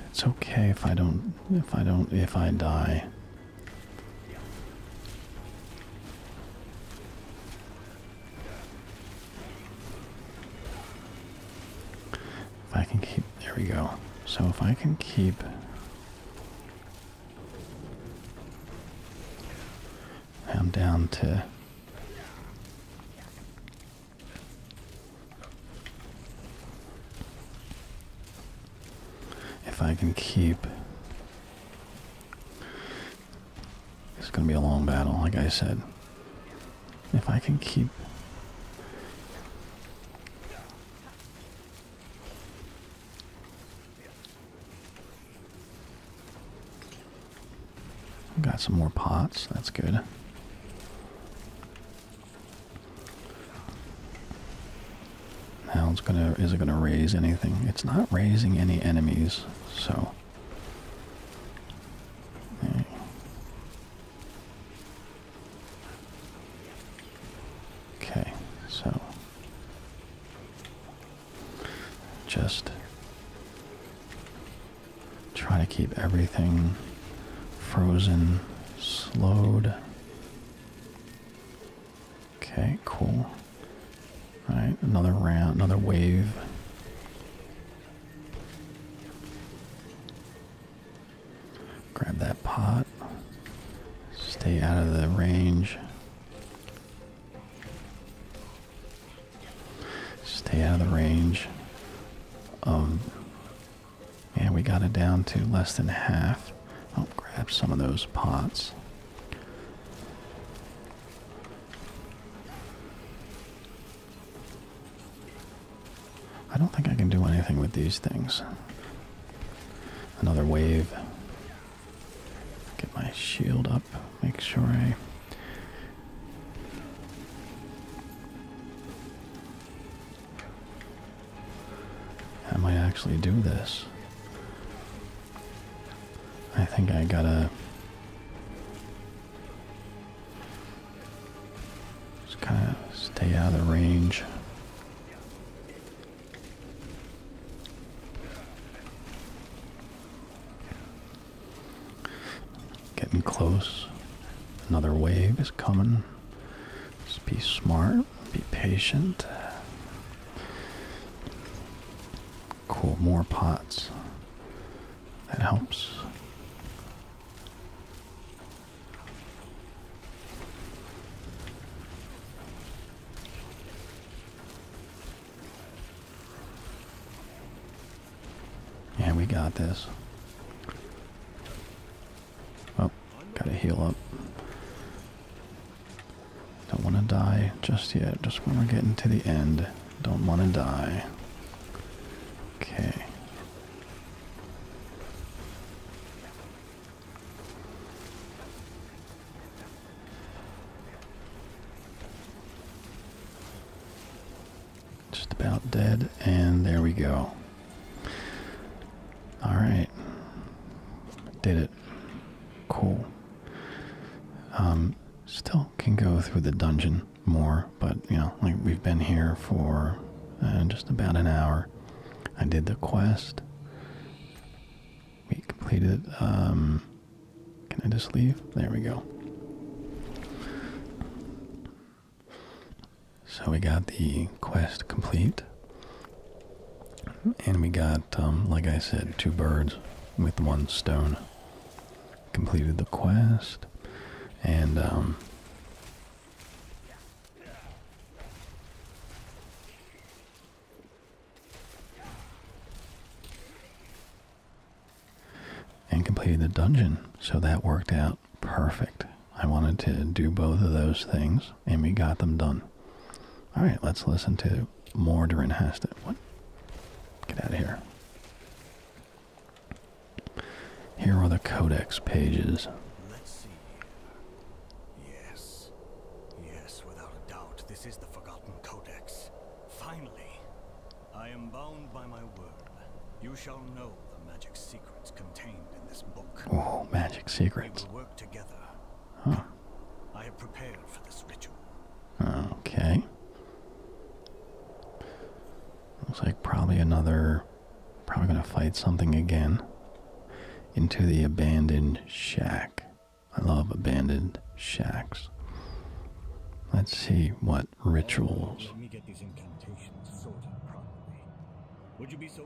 It's okay if I don't if I don't if I die. If I can keep there we go. So if I can keep I'm down to if I can keep. It's going to be a long battle, like I said. If I can keep. Got some more pots, that's good. Now it's gonna is it gonna raise anything? It's not raising any enemies, so okay. so just try to keep everything Frozen, slowed. Okay, cool. All right, another round, another wave. Grab that pot. Stay out of the range. Stay out of the range of and we got it down to less than half. I'll grab some of those pots. I don't think I can do anything with these things. Another wave. Get my shield up. Make sure I. How I actually do this. I think I gotta just kind of stay out of the range. Getting close. Another wave is coming. Just be smart, be patient. Cool, more pots. That helps. Yeah, we got this. Oh, gotta heal up. Don't want to die just yet. Just when we're getting to the end, don't want to die. Okay. Just about dead, and there we go. All right. Did it. Cool. Um, still can go through the dungeon more, but you know, like we've been here for uh, just about an hour. I did the quest. We completed um, can I just leave? There we go. So we got the quest complete. And we got, um, like I said, two birds with one stone. Completed the quest. And, um, And completed the dungeon. So that worked out perfect. I wanted to do both of those things, and we got them done. All right, let's listen to Mortar and Hastet. What? Get out of here. Here are the codex pages. Let's see. Yes. Yes, without a doubt, this is the Forgotten Codex. Finally, I am bound by my word. You shall know the magic Oh, magic secrets. We will work together. Huh. I have prepared for this ritual. Okay. Looks like probably another. Probably gonna fight something again. Into the abandoned shack. I love abandoned shacks. Let's see what rituals. Let me get these incantations sorted properly. Would you be so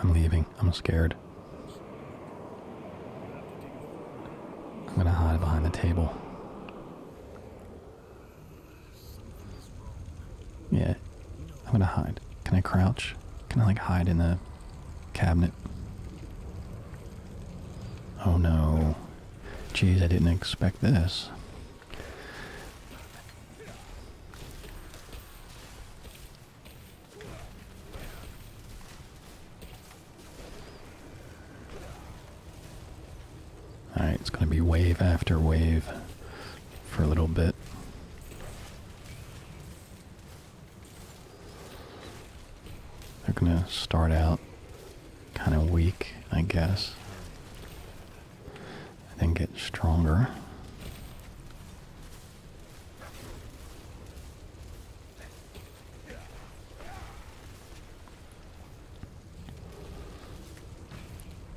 I'm leaving. I'm scared. I'm gonna hide behind the table. Yeah, I'm gonna hide. Can I crouch? Can I like hide in the cabinet? Oh no. Jeez, I didn't expect this. Alright, it's going to be wave after wave for a little bit. They're going to start out kind of weak, I guess and then get stronger.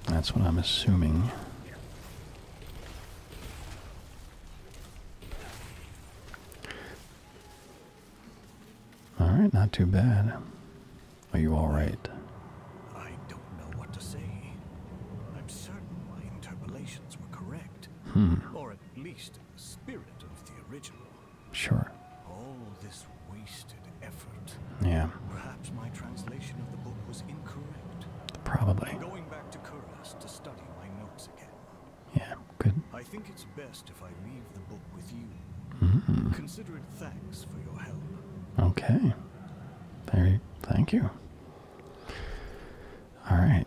That's what I'm assuming. All right, not too bad. Are you all right? I don't know what to say. I'm certain my interpolations were correct. Hmm. Or at least in the spirit of the original. Sure. All this wasted effort. Yeah. Perhaps my translation of the book was incorrect. Probably. i going back to Kuras to study my notes again. Yeah, good. I think it's best if I leave the book with you. -hmm. Consider it thanks for your help. Okay. Very thank you. All right.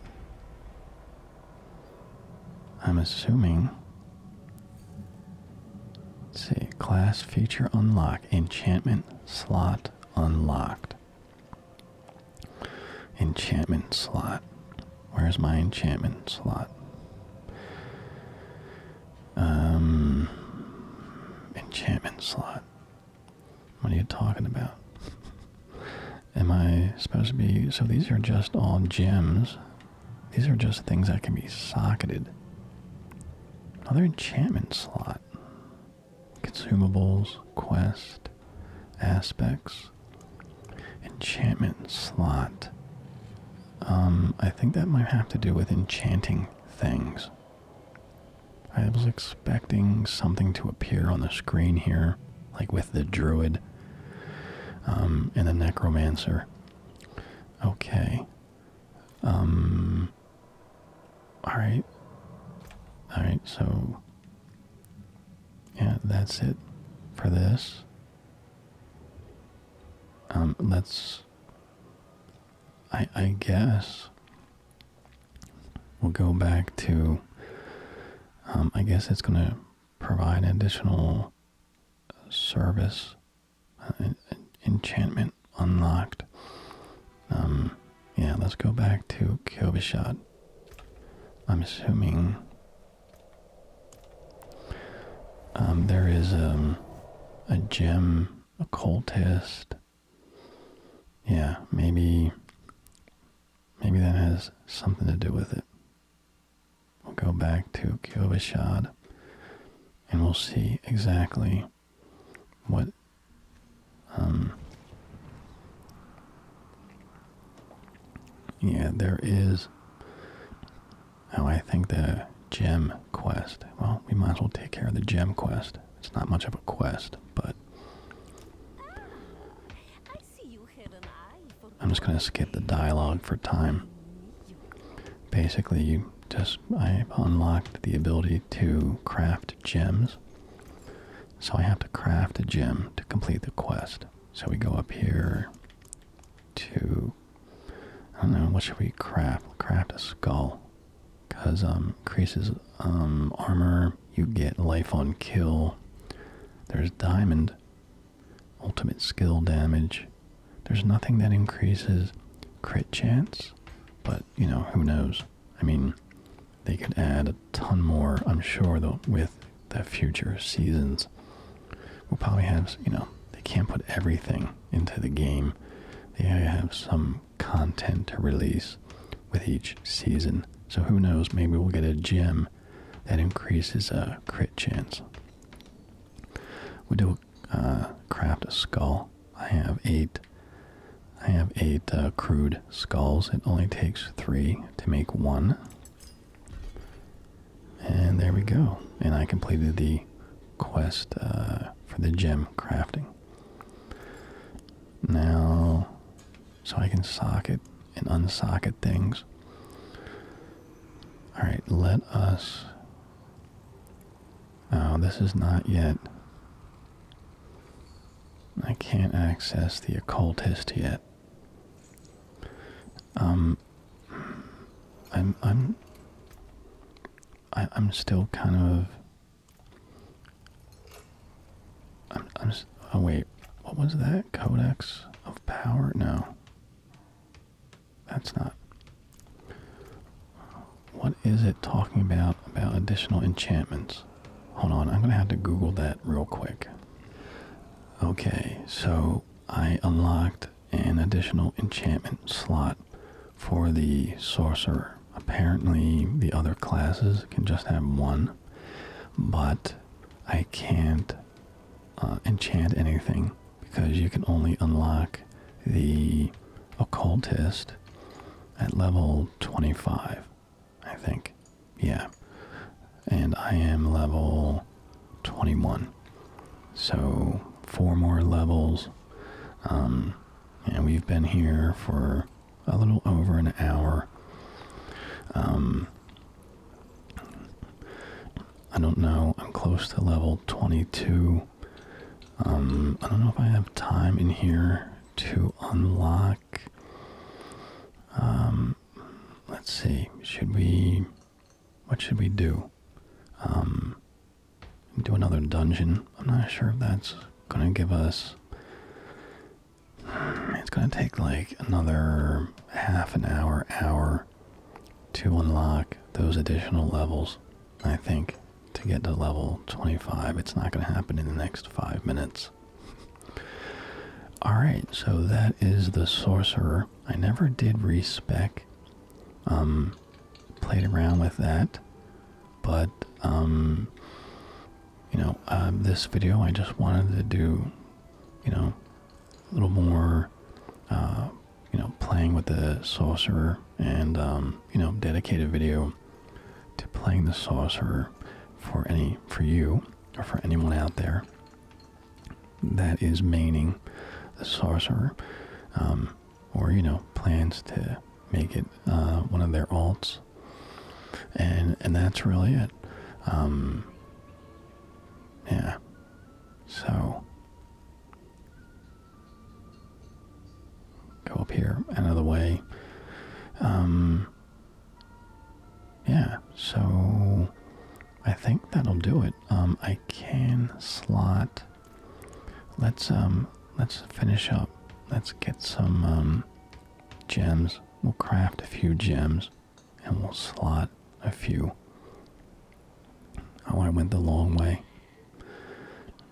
I'm assuming. let see, class feature unlock, enchantment slot unlocked. Enchantment slot. Where's my enchantment slot? Um, enchantment slot. What are you talking about? Am I supposed to be. So these are just all gems. These are just things that can be socketed. Another enchantment slot. Consumables, quest, aspects. Enchantment slot. Um, I think that might have to do with enchanting things. I was expecting something to appear on the screen here, like with the druid um, and the necromancer. Okay. Um, All right. All right. So. Yeah, that's it for this. Um, let's. I I guess We'll go back to, um, I guess it's going to provide additional service, uh, enchantment unlocked. Um, yeah, let's go back to Kobishot. I'm assuming um, there is um, a gem occultist yeah, maybe maybe that has something to do with it. We'll go back to Kyovashad and we'll see exactly what um yeah, there is. Oh, I think the gem quest. Well, we might as well take care of the gem quest. It's not much of a quest, but I I'm just gonna skip the dialogue for time. Basically, you just I unlocked the ability to craft gems. So I have to craft a gem to complete the quest. So we go up here to I don't know, what should we craft? Craft a skull. Because um, increases um, armor, you get life on kill. There's diamond, ultimate skill damage. There's nothing that increases crit chance, but you know, who knows? I mean, they could add a ton more, I'm sure, though, with the future seasons. We'll probably have, you know, they can't put everything into the game. They have some content to release with each season. So who knows? Maybe we'll get a gem that increases a uh, crit chance. We do uh, craft a skull. I have eight. I have eight uh, crude skulls. It only takes three to make one. And there we go. And I completed the quest for the gem crafting. Now, so I can socket and unsocket things. Alright, let us. Oh, this is not yet. I can't access the occultist yet. Um, I'm, I'm, I, am i am i am still kind of I'm, just, oh wait, what was that? Codex of Power? No. That's not. What is it talking about, about additional enchantments? Hold on, I'm going to have to Google that real quick. Okay, so I unlocked an additional enchantment slot for the sorcerer. Apparently, the other classes can just have one, but I can't uh, enchant anything because you can only unlock the occultist at level 25, I think. Yeah. And I am level 21. So, four more levels. Um, and we've been here for a little over an hour. Um, I don't know. I'm close to level 22. Um, I don't know if I have time in here to unlock. Um, let's see. Should we? What should we do? do another dungeon. I'm not sure if that's gonna give us. It's gonna take like another half an hour, hour to unlock those additional levels. I think to get to level 25, it's not gonna happen in the next five minutes. All right, so that is the sorcerer. I never did respec. Um, played around with that but um, you know um, this video i just wanted to do you know a little more uh, you know playing with the sorcerer and um, you know dedicated video to playing the sorcerer for any for you or for anyone out there that is maining the sorcerer or you know plans to make it uh, one of their alts and and that's really it. Um, yeah. So go up here another way. Um, yeah. So I think that'll do it. Um, I can slot. Let's um. Let's finish up. Let's get some gems. We'll craft a few gems and we'll slot a few. Oh, I went the long way.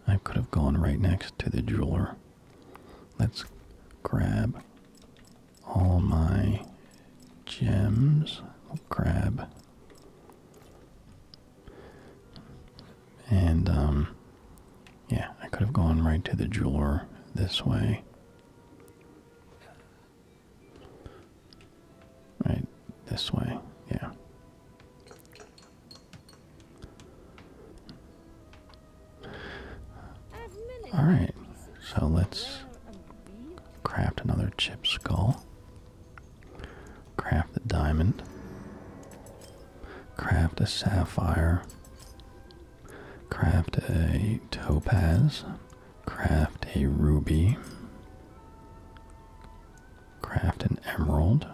I could have gone right next to the jeweler. Let's grab all my gems. grab and um, yeah I could have gone right to the jeweler this way right this way yeah all right so let's craft another chip skull craft the diamond Craft a sapphire. Craft a topaz. Craft a ruby. Craft an emerald.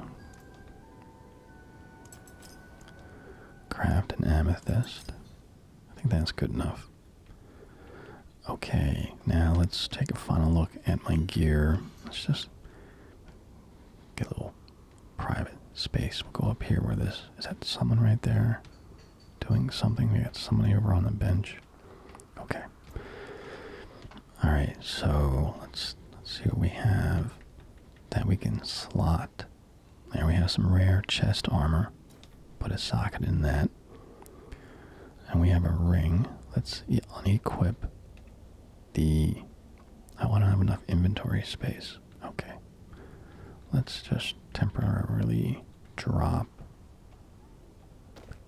Craft an amethyst. I think that's good enough. Okay, now let's take a final look at my gear. Let's just get a little private space. We'll go up here where this is that someone right there doing something. We got somebody over on the bench. Okay. Alright, so let's let's see what we have that we can slot. There we have some rare chest armor. Put a socket in that. And we have a ring. Let's unequip the I want to have enough inventory space. Okay. Let's just temporarily drop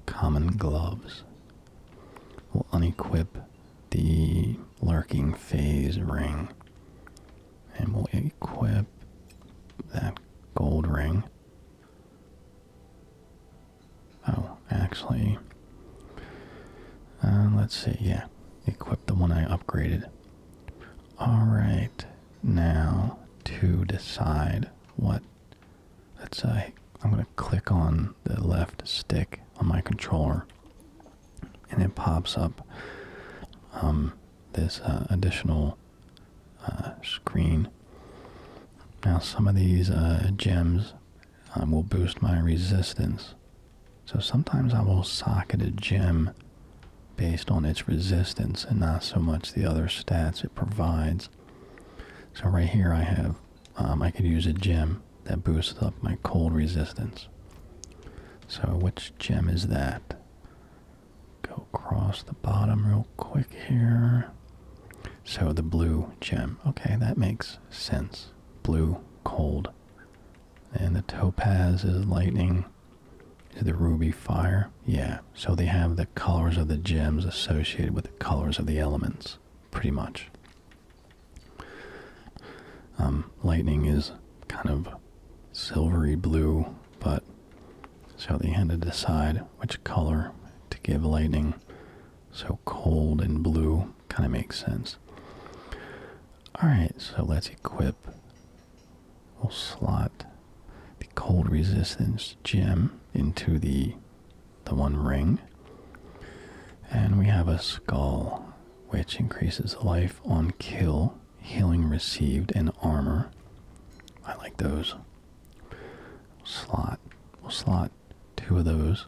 common gloves. We'll unequip the lurking phase ring and we'll equip that gold ring. Oh, actually, uh, let's see. Yeah, equip the one I upgraded. All right, now to decide what. Let's say uh, I'm gonna click on the left stick on my controller, and it pops up um, this uh, additional uh, screen. Now some of these gems um, will boost my resistance so sometimes I will socket a gem based on its resistance and not so much the other stats it provides. So right here I have, um, I could use a gem that boosts up my cold resistance. So which gem is that? Go across the bottom real quick here. So the blue gem. Okay, that makes sense. Blue, cold and the topaz is lightning. Is the ruby fire? Yeah. So they have the colors of the gems associated with the colors of the elements, pretty much. Um, lightning is kind of silvery blue, but so they had to decide which color to give lightning. So cold and blue kind of makes sense. Alright, so let's equip. We'll slot the cold resistance gem into the the one ring. And we have a skull, which increases life on kill, healing received, and armor. I like those. Slot. We'll slot two of those.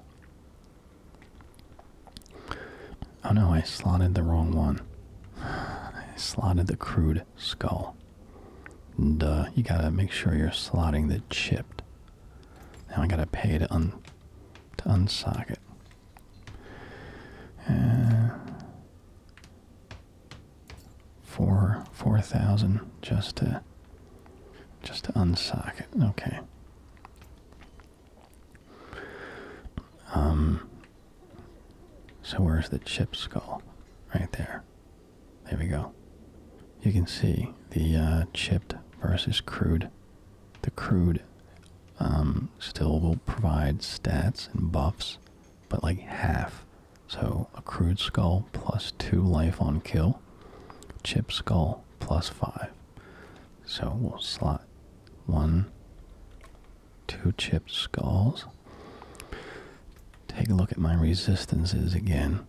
Oh no, I slotted the wrong one. I slotted the crude skull. And you gotta make sure you're slotting the chipped. Now I gotta pay to un to unsock it. Uh, four four thousand just to just to unsock it. Okay. Um, so where's the chip skull? Right there. There we go. You can see the uh, chipped versus crude. The crude um, still will provide stats and buffs, but like half. So a crude skull plus two life on kill, chip skull plus five. So we'll slot one, two chipped skulls. Take a look at my resistances again.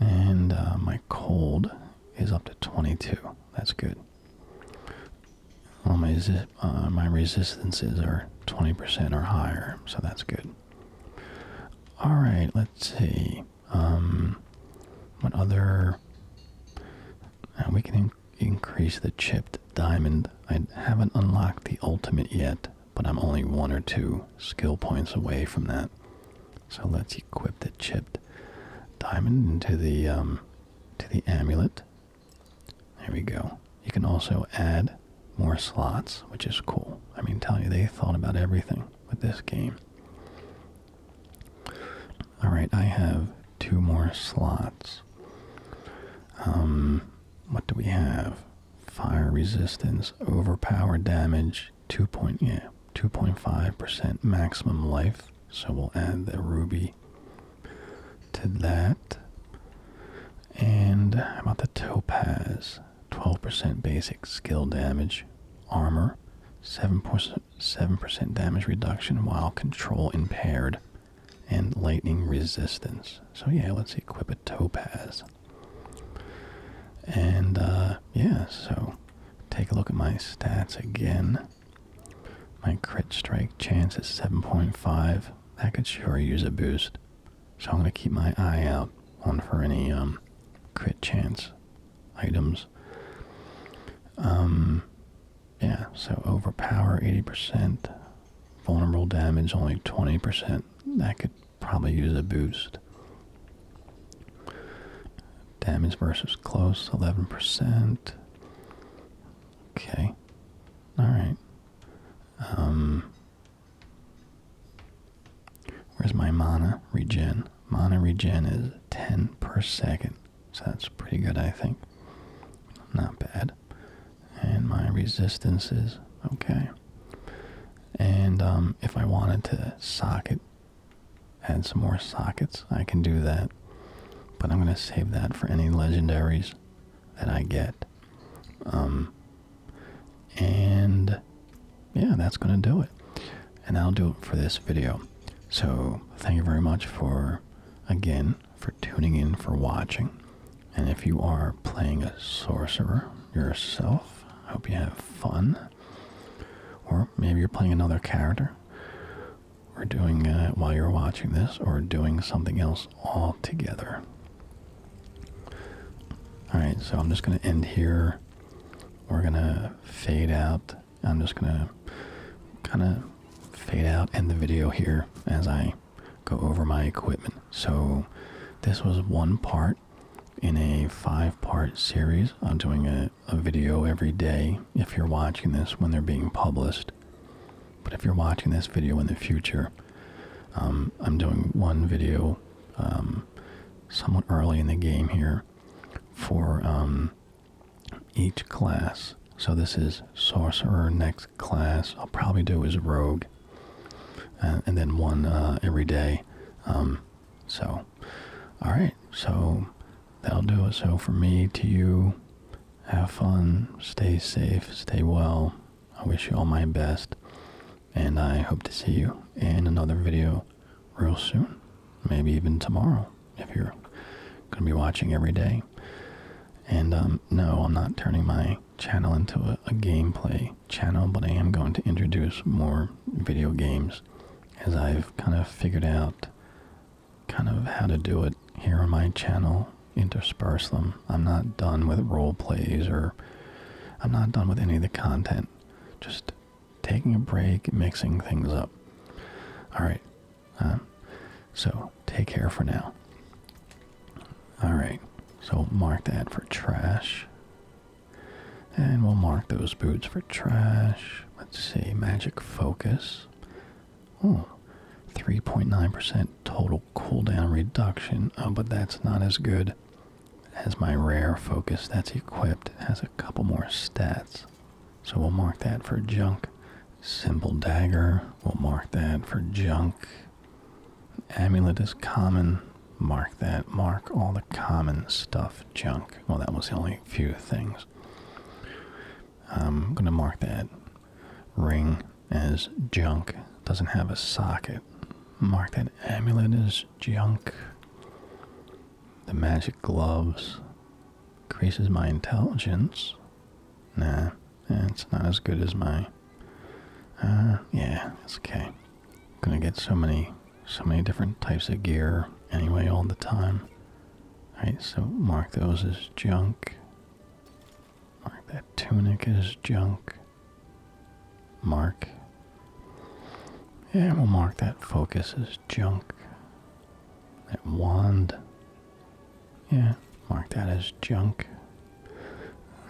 And uh, my cold is up to 22. That's good. All my, uh, my resistances are 20% or higher, so that's good. All right, let's see. Um, what other? Uh, we can increase the chipped diamond. I haven't unlocked the ultimate yet, but I'm only one or two skill points away from that. So let's equip the chipped diamond into the um, to the amulet. There we go. You can also add more slots, which is cool. I mean, tell you they thought about everything with this game. All right, I have two more slots. Um, what do we have? Fire resistance, overpower damage, two point yeah, two point five percent maximum life. So we'll add the ruby to that. And how about the topaz? 12% basic skill damage, armor, 7% 7% damage reduction while control impaired, and lightning resistance. So, yeah, let's equip a topaz. And, uh, yeah, so take a look at my stats again. My crit strike chance is 7.5. That could sure use a boost. So, I'm going to keep my eye out on for any um, crit chance items. Um, yeah, so overpower 80%, vulnerable damage only 20%. That could probably use a boost. Damage versus close, 11%. Okay. Alright. Um, where's my mana regen? Mana regen is 10 per second. So that's pretty good, I think. Not bad. And my resistance is okay. And um, if I wanted to socket, add some more sockets, I can do that. But I'm going to save that for any legendaries that I get. Um, and yeah, that's going to do it. And i will do it for this video. So thank you very much for again for tuning in, for watching. And if you are playing a sorcerer yourself, I hope you have fun. Or maybe you're playing another character, or doing uh, while you're watching this, or doing something else altogether. All right, so I'm just going to end here. We're going to fade out I'm just gonna kind of fade out, end the video here as I go over my equipment. So this was one part in a five-part series. I'm doing a, video every day if you're watching this when they're being published. But if you're watching this video in the future, um, I'm doing one video um, somewhat early in the game here for um, each class. So this is sorcerer. Next class I'll probably do is rogue, uh, and then one uh, every day. Um, so, all right. So that'll do it. So for me to you, have fun, stay safe, stay well. I wish you all my best, and I hope to see you in another video real soon. Maybe even tomorrow if you're going to be watching every day. And um, no, I'm not turning my channel into a gameplay channel, but I am going to introduce more video games as I've kind of figured out kind of how to do it here on my channel, intersperse them. I'm not done with role plays or I'm not done with any of the content. Just taking a break, mixing things up. All right, um, so take care for now. All right, so mark that for trash. And we'll mark those boots for trash. Let's see, magic focus. Oh, 3.9% total cooldown reduction. Oh, but that's not as good as my rare focus. That's equipped. It has a couple more stats. So we'll mark that for junk. Simple dagger, we'll mark that for junk. Amulet is common, mark that. Mark all the common stuff junk. Well, that was the only few things. I'm going to mark that ring as junk. Doesn't have a socket. Mark that amulet as junk. The magic gloves increases my intelligence. Nah, it's not as good as my. Uh, yeah, it's okay. Gonna get so many, so many different types of gear anyway all the time. Right, so mark those as junk. Mark that tunic as junk. Mark. Yeah, we'll mark that focus as junk. That wand yeah, mark that as junk.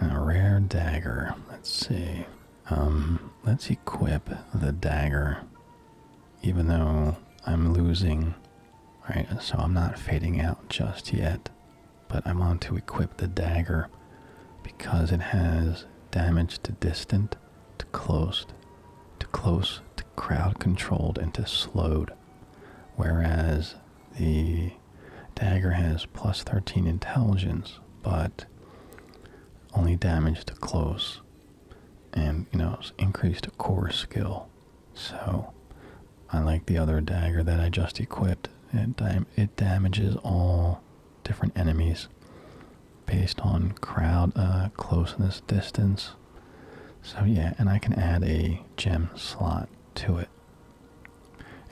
A rare dagger. Let's see. Um, let's equip the dagger. Even though I'm losing, right? So I'm not fading out just yet. But I am on to equip the dagger because it has damage to distant, to close, to close, crowd controlled into slowed, whereas the dagger has plus 13 intelligence, but only damage to close and you know increased core skill so i like the other dagger that i just equipped it, it damages all different enemies based on crowd uh, closeness distance so yeah, and I can add a gem slot to it.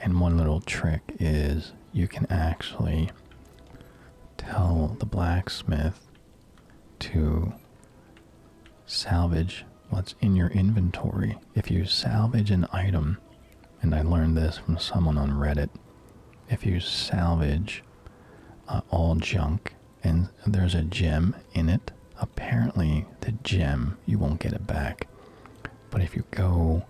And one little trick is you can actually tell the blacksmith to salvage what's in your inventory. If you salvage an item, and I learned this from someone on Reddit, if you salvage uh, all junk and there's a gem in it. Apparently, the gem, you won't get it back. But if you go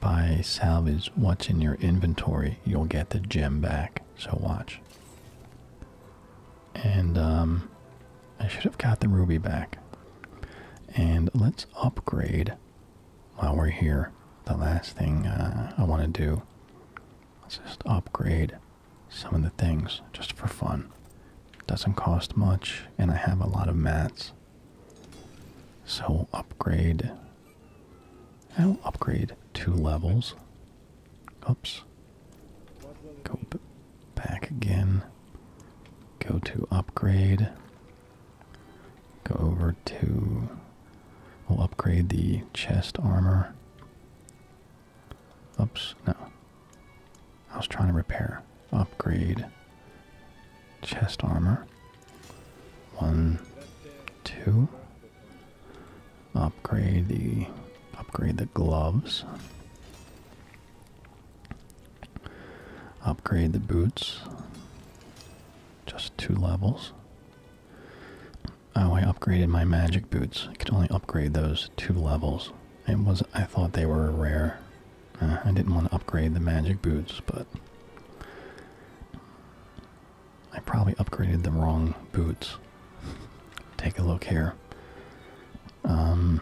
by salvage what's in your inventory, you'll get the gem back. So watch. And um, I should have got the ruby back. And let's upgrade while we're here. The last thing uh, I want to do. Let's just upgrade some of the things just for fun. Doesn't cost much, and I have a lot of mats. So upgrade. I'll upgrade two levels. Oops. Go back again. Go to upgrade. Go over to. We'll upgrade the chest armor. Oops, no. I was trying to repair. Upgrade. Chest armor. One, two. Upgrade the upgrade the gloves. Upgrade the boots. Just two levels. Oh, I upgraded my magic boots. I could only upgrade those two levels. It was I thought they were rare. Uh, I didn't want to upgrade the magic boots, but I probably upgraded the wrong boots. Take a look here. Um,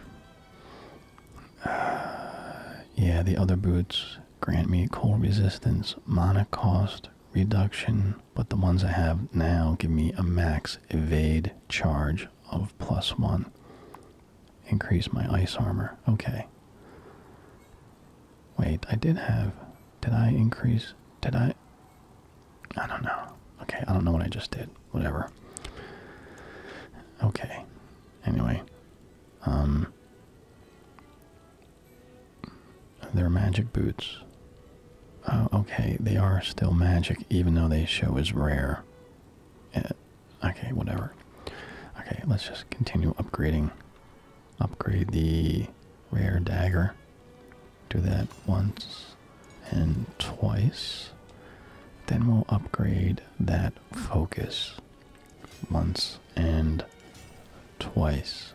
yeah, the other boots grant me cold resistance, mana cost reduction, but the ones I have now give me a max evade charge of plus one. Increase my ice armor. Okay. Wait, I did have. Did I increase? Did I? I don't know. Okay, I don't know what I just did. Whatever. Okay. Anyway, um, they're magic boots. Oh, okay, they are still magic, even though they show as rare. Uh, okay, whatever. Okay, let's just continue upgrading. Upgrade the rare dagger. Do that once and twice. Then we'll upgrade that focus once and twice.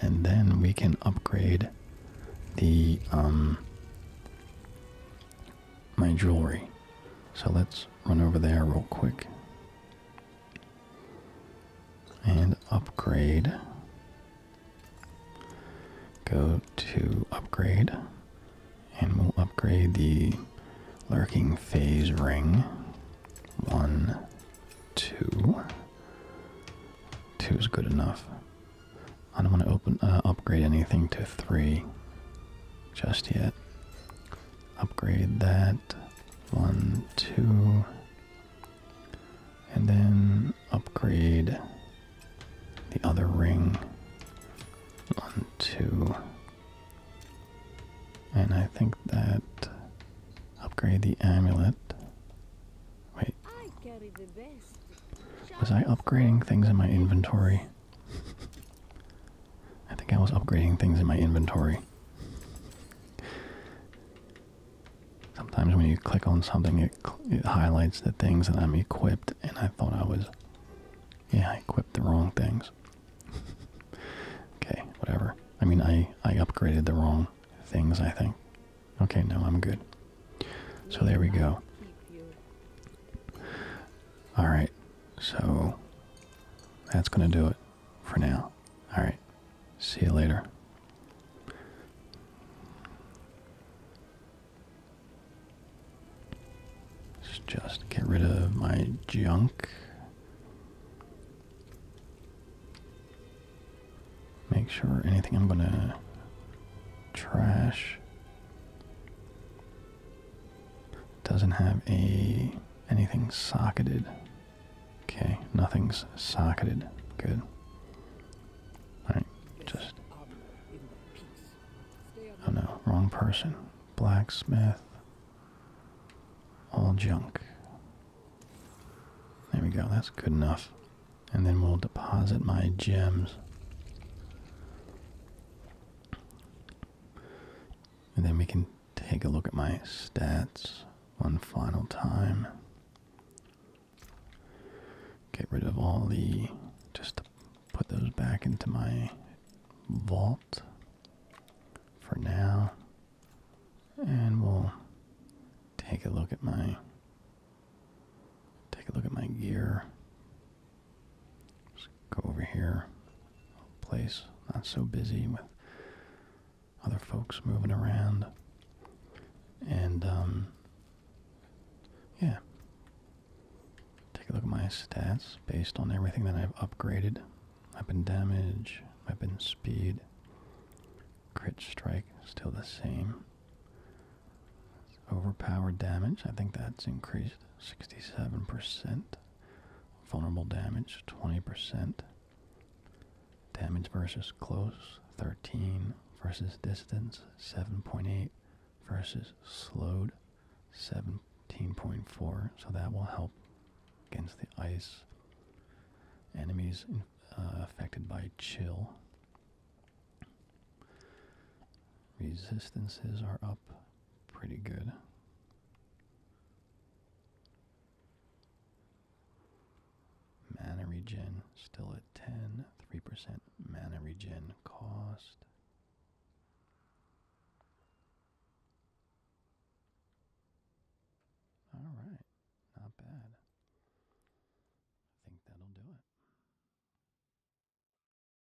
And then we can upgrade the um my jewelry. So let's run over there real quick and upgrade. Go to upgrade and we'll upgrade the lurking phase ring. One, two. Two is good enough. I don't want to open uh, upgrade anything to three just yet. Upgrade that one, two, and then upgrade the other ring one, two, and I think that upgrade the amulet. Wait, was I upgrading things in my inventory? I think I was upgrading things in my inventory. Sometimes when you click on something, it, it highlights the things that I'm equipped, and I thought I was, yeah, I equipped the wrong things. okay, whatever. I mean, I I upgraded the wrong things. I think. Okay, no, I'm good. So there we go. All right, so that's going to do it for now. All right, see you later. just get rid of my junk. Make sure anything I'm going to trash doesn't have a anything socketed. Okay, nothing's socketed. Good. Alright, just Oh no, wrong person. Blacksmith. All junk. There we go, that's good enough. And then we'll deposit my gems. And then we can take a look at my stats one final time. Get rid of all the, just put those back into my vault for now. And we'll take a look at my, take a look at my gear. Just go over here. Place not so busy with other folks moving around. And, um, yeah. Take a look at my stats based on everything that I've upgraded. Weapon damage, weapon speed, crit strike, still the same. Overpowered damage, I think that's increased 67%. Vulnerable damage, 20%. Damage versus close, 13 versus distance, 7.8 versus slowed, 17.4. So that will help against the ice. Enemies uh, affected by chill. Resistances are up pretty good. Mana regen still at 10, 3% mana regen cost. All right, not bad. I think that'll do it.